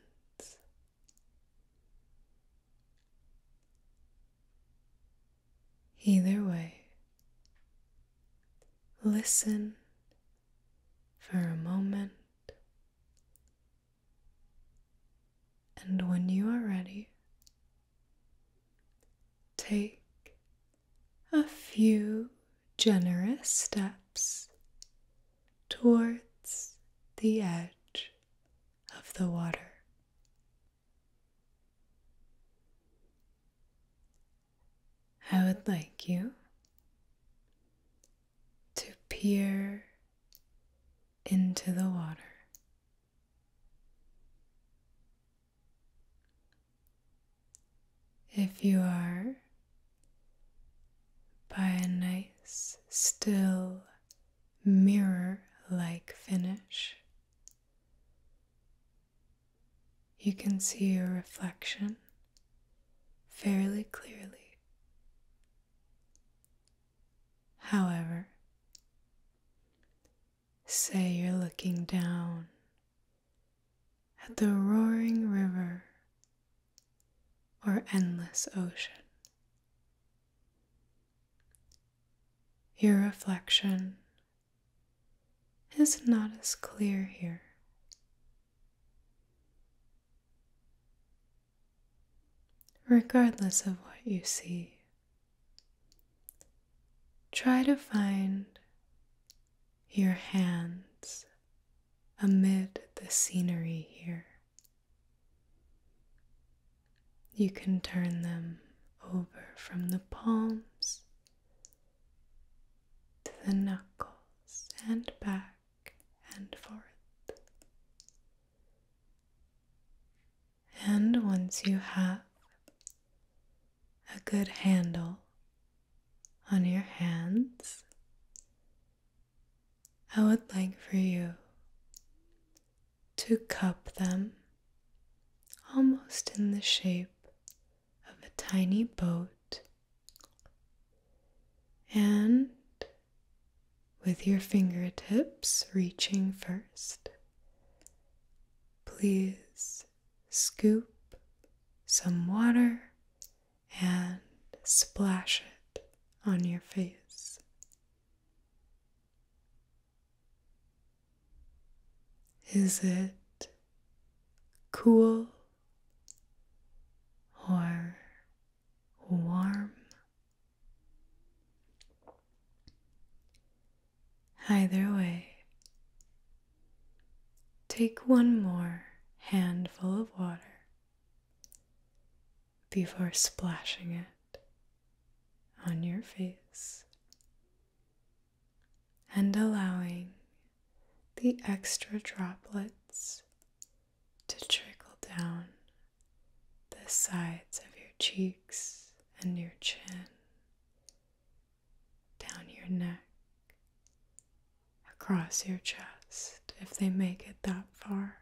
Either way, listen for a moment and when you are ready, take a few generous steps towards the edge of the water. I would like you to peer into the water if you are by a nice, still, mirror like finish, you can see your reflection fairly clearly. However, say you're looking down at the roaring river or endless ocean. Your reflection is not as clear here regardless of what you see. Try to find your hands amid the scenery here. You can turn them over from the palms to the knuckles and back and forth. And once you have a good handle on your hands, I would like for you to cup them almost in the shape of a tiny boat and with your fingertips reaching first. Please scoop some water and splash it on your face. Is it cool or warm? Either way, take one more handful of water before splashing it on your face and allowing the extra droplets to trickle down the sides of your cheeks and your chin, down your neck, across your chest, if they make it that far.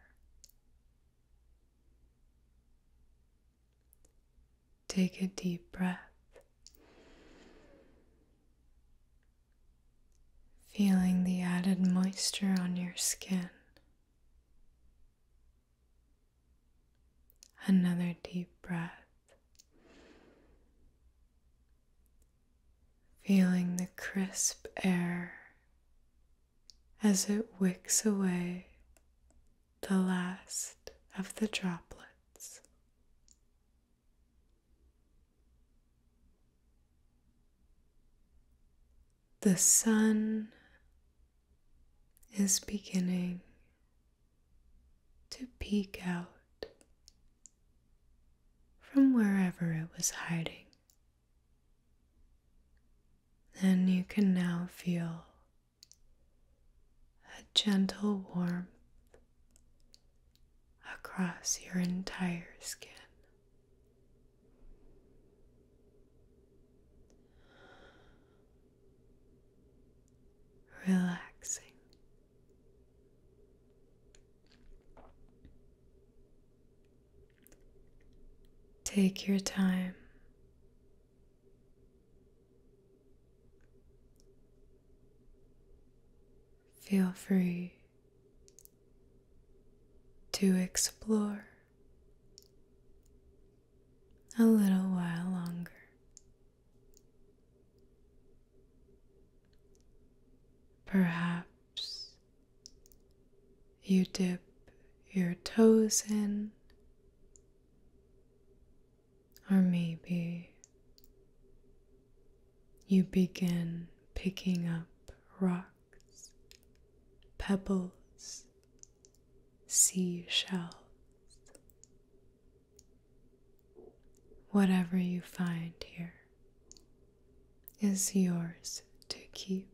Take a deep breath. Feeling the added moisture on your skin. Another deep breath. Feeling the crisp air as it wicks away the last of the droplets. The sun is beginning to peek out from wherever it was hiding. And you can now feel a gentle warmth across your entire skin relaxing. Take your time. Feel free to explore a little while longer. Perhaps you dip your toes in, or maybe you begin picking up rocks, pebbles, Sea shells. Whatever you find here is yours to keep.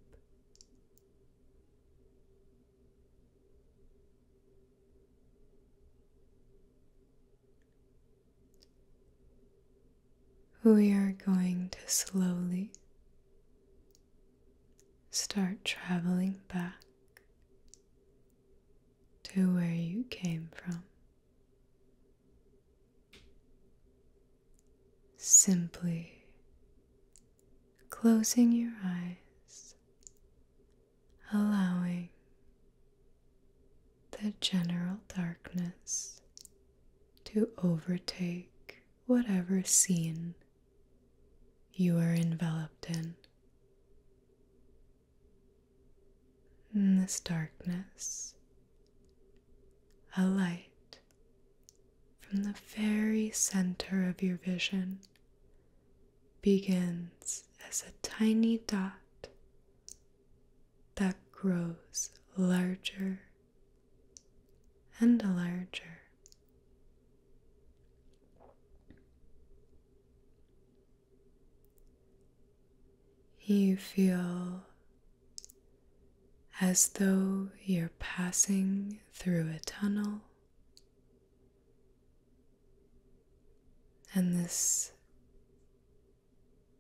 We are going to slowly start traveling back to where you came from. Simply closing your eyes, allowing the general darkness to overtake whatever scene you are enveloped in. this darkness, a light from the very center of your vision begins as a tiny dot that grows larger and larger you feel as though you're passing through a tunnel, and this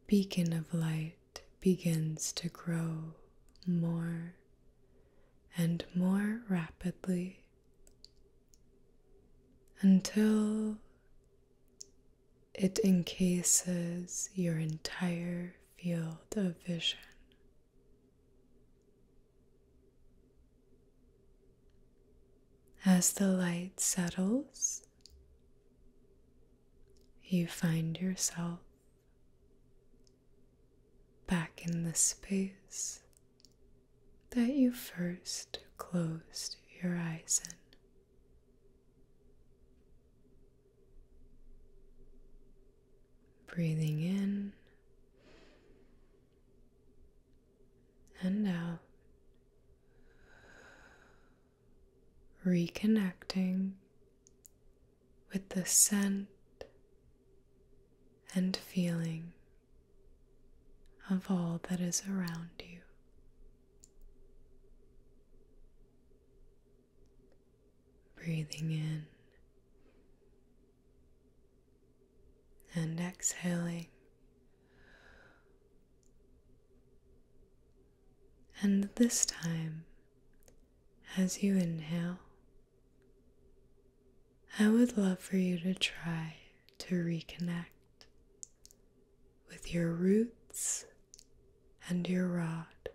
beacon of light begins to grow more and more rapidly until it encases your entire field of vision. As the light settles, you find yourself back in the space that you first closed your eyes in. Breathing in and out, reconnecting with the scent and feeling of all that is around you. Breathing in and exhaling, and this time, as you inhale. I would love for you to try to reconnect with your roots and your rod,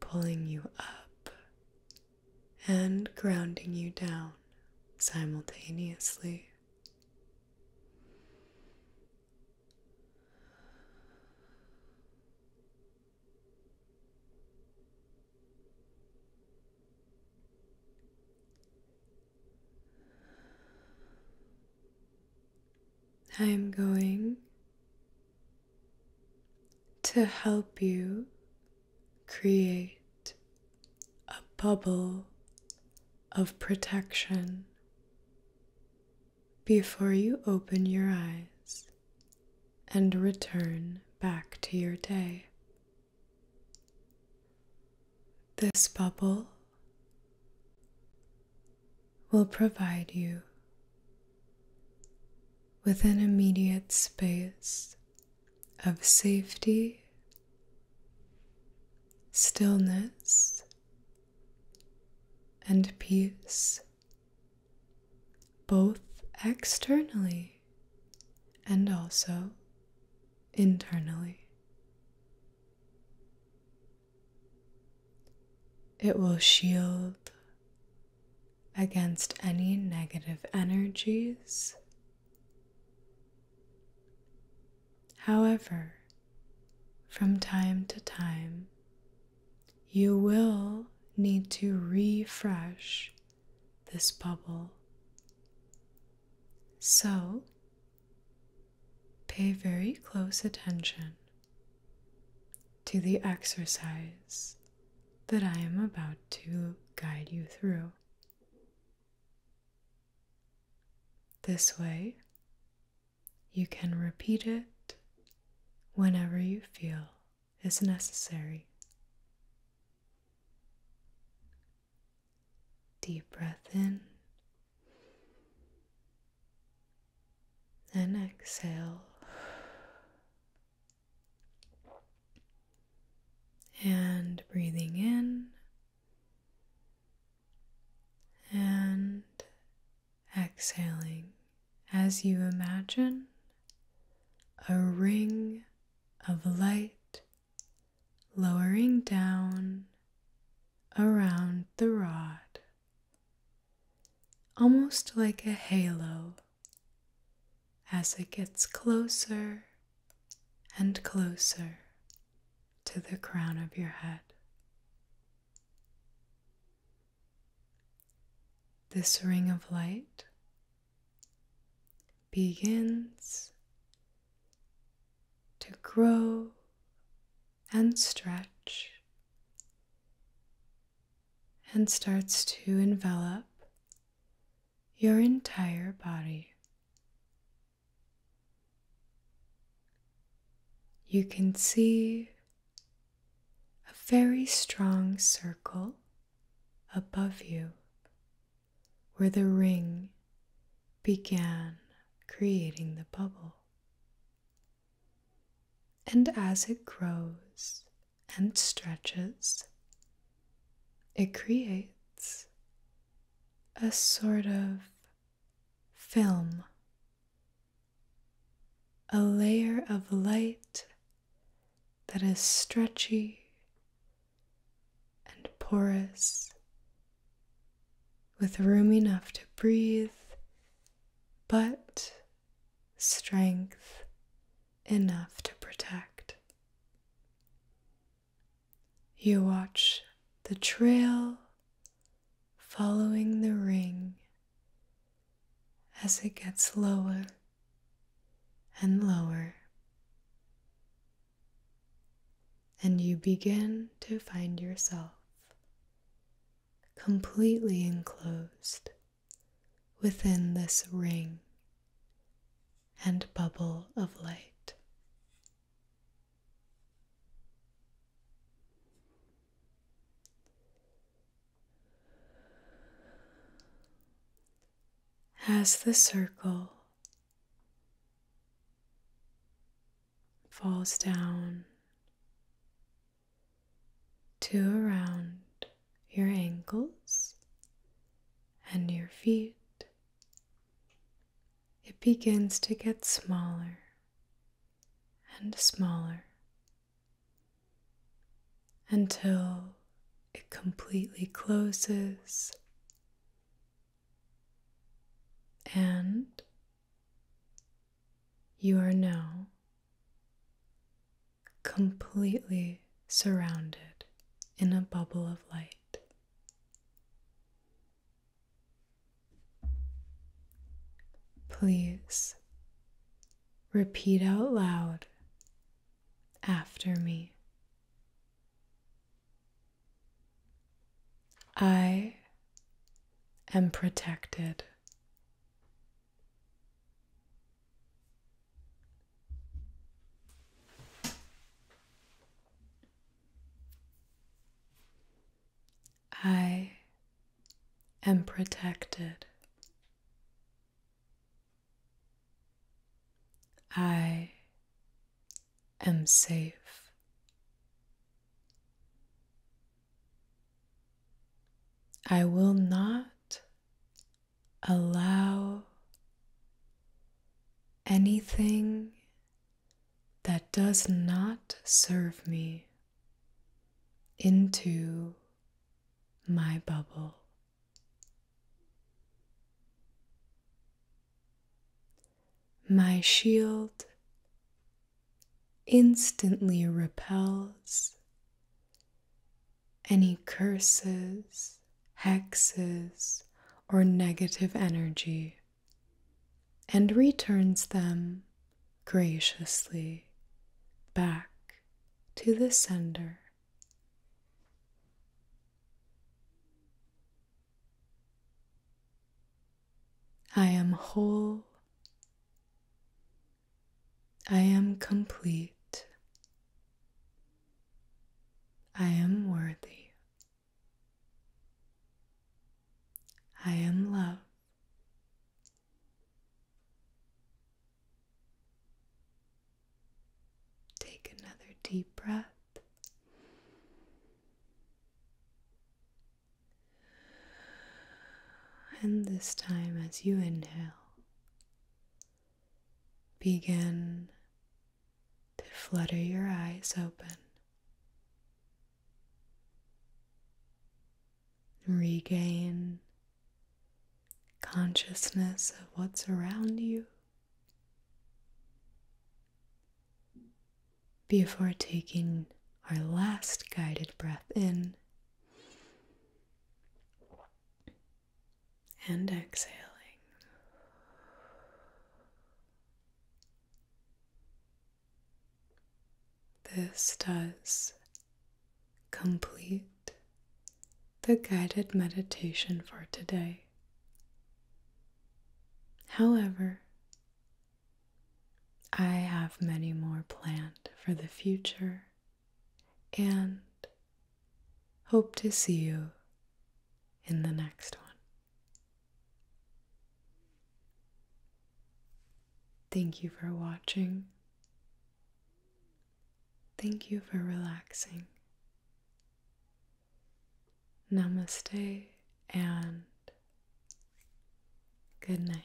pulling you up and grounding you down simultaneously. I am going to help you create a bubble of protection before you open your eyes and return back to your day. This bubble will provide you with an immediate space of safety, stillness, and peace both externally and also internally. It will shield against any negative energies. However, from time to time, you will need to refresh this bubble. So, pay very close attention to the exercise that I am about to guide you through. This way, you can repeat it whenever you feel is necessary. Deep breath in then exhale. And breathing in and exhaling as you imagine a ring of light lowering down around the rod, almost like a halo as it gets closer and closer to the crown of your head. This ring of light begins to grow and stretch and starts to envelop your entire body. You can see a very strong circle above you where the ring began creating the bubble. And as it grows and stretches, it creates a sort of film, a layer of light that is stretchy and porous, with room enough to breathe, but strength enough to protect. You watch the trail following the ring as it gets lower and lower. And you begin to find yourself completely enclosed within this ring and bubble of light as the circle falls down to around your ankles and your feet, it begins to get smaller and smaller until it completely closes and you are now completely surrounded in a bubble of light. Please repeat out loud after me. I am protected. I am protected. I am safe. I will not allow anything that does not serve me into my bubble. My shield instantly repels any curses, hexes, or negative energy and returns them graciously back to the sender. I am whole. I am complete. I am worthy. I am love. Take another deep breath. And this time, as you inhale, begin to flutter your eyes open. Regain consciousness of what's around you before taking our last guided breath in and exhaling. This does complete the guided meditation for today. However, I have many more planned for the future and hope to see you in the next one. Thank you for watching. Thank you for relaxing. Namaste and good night.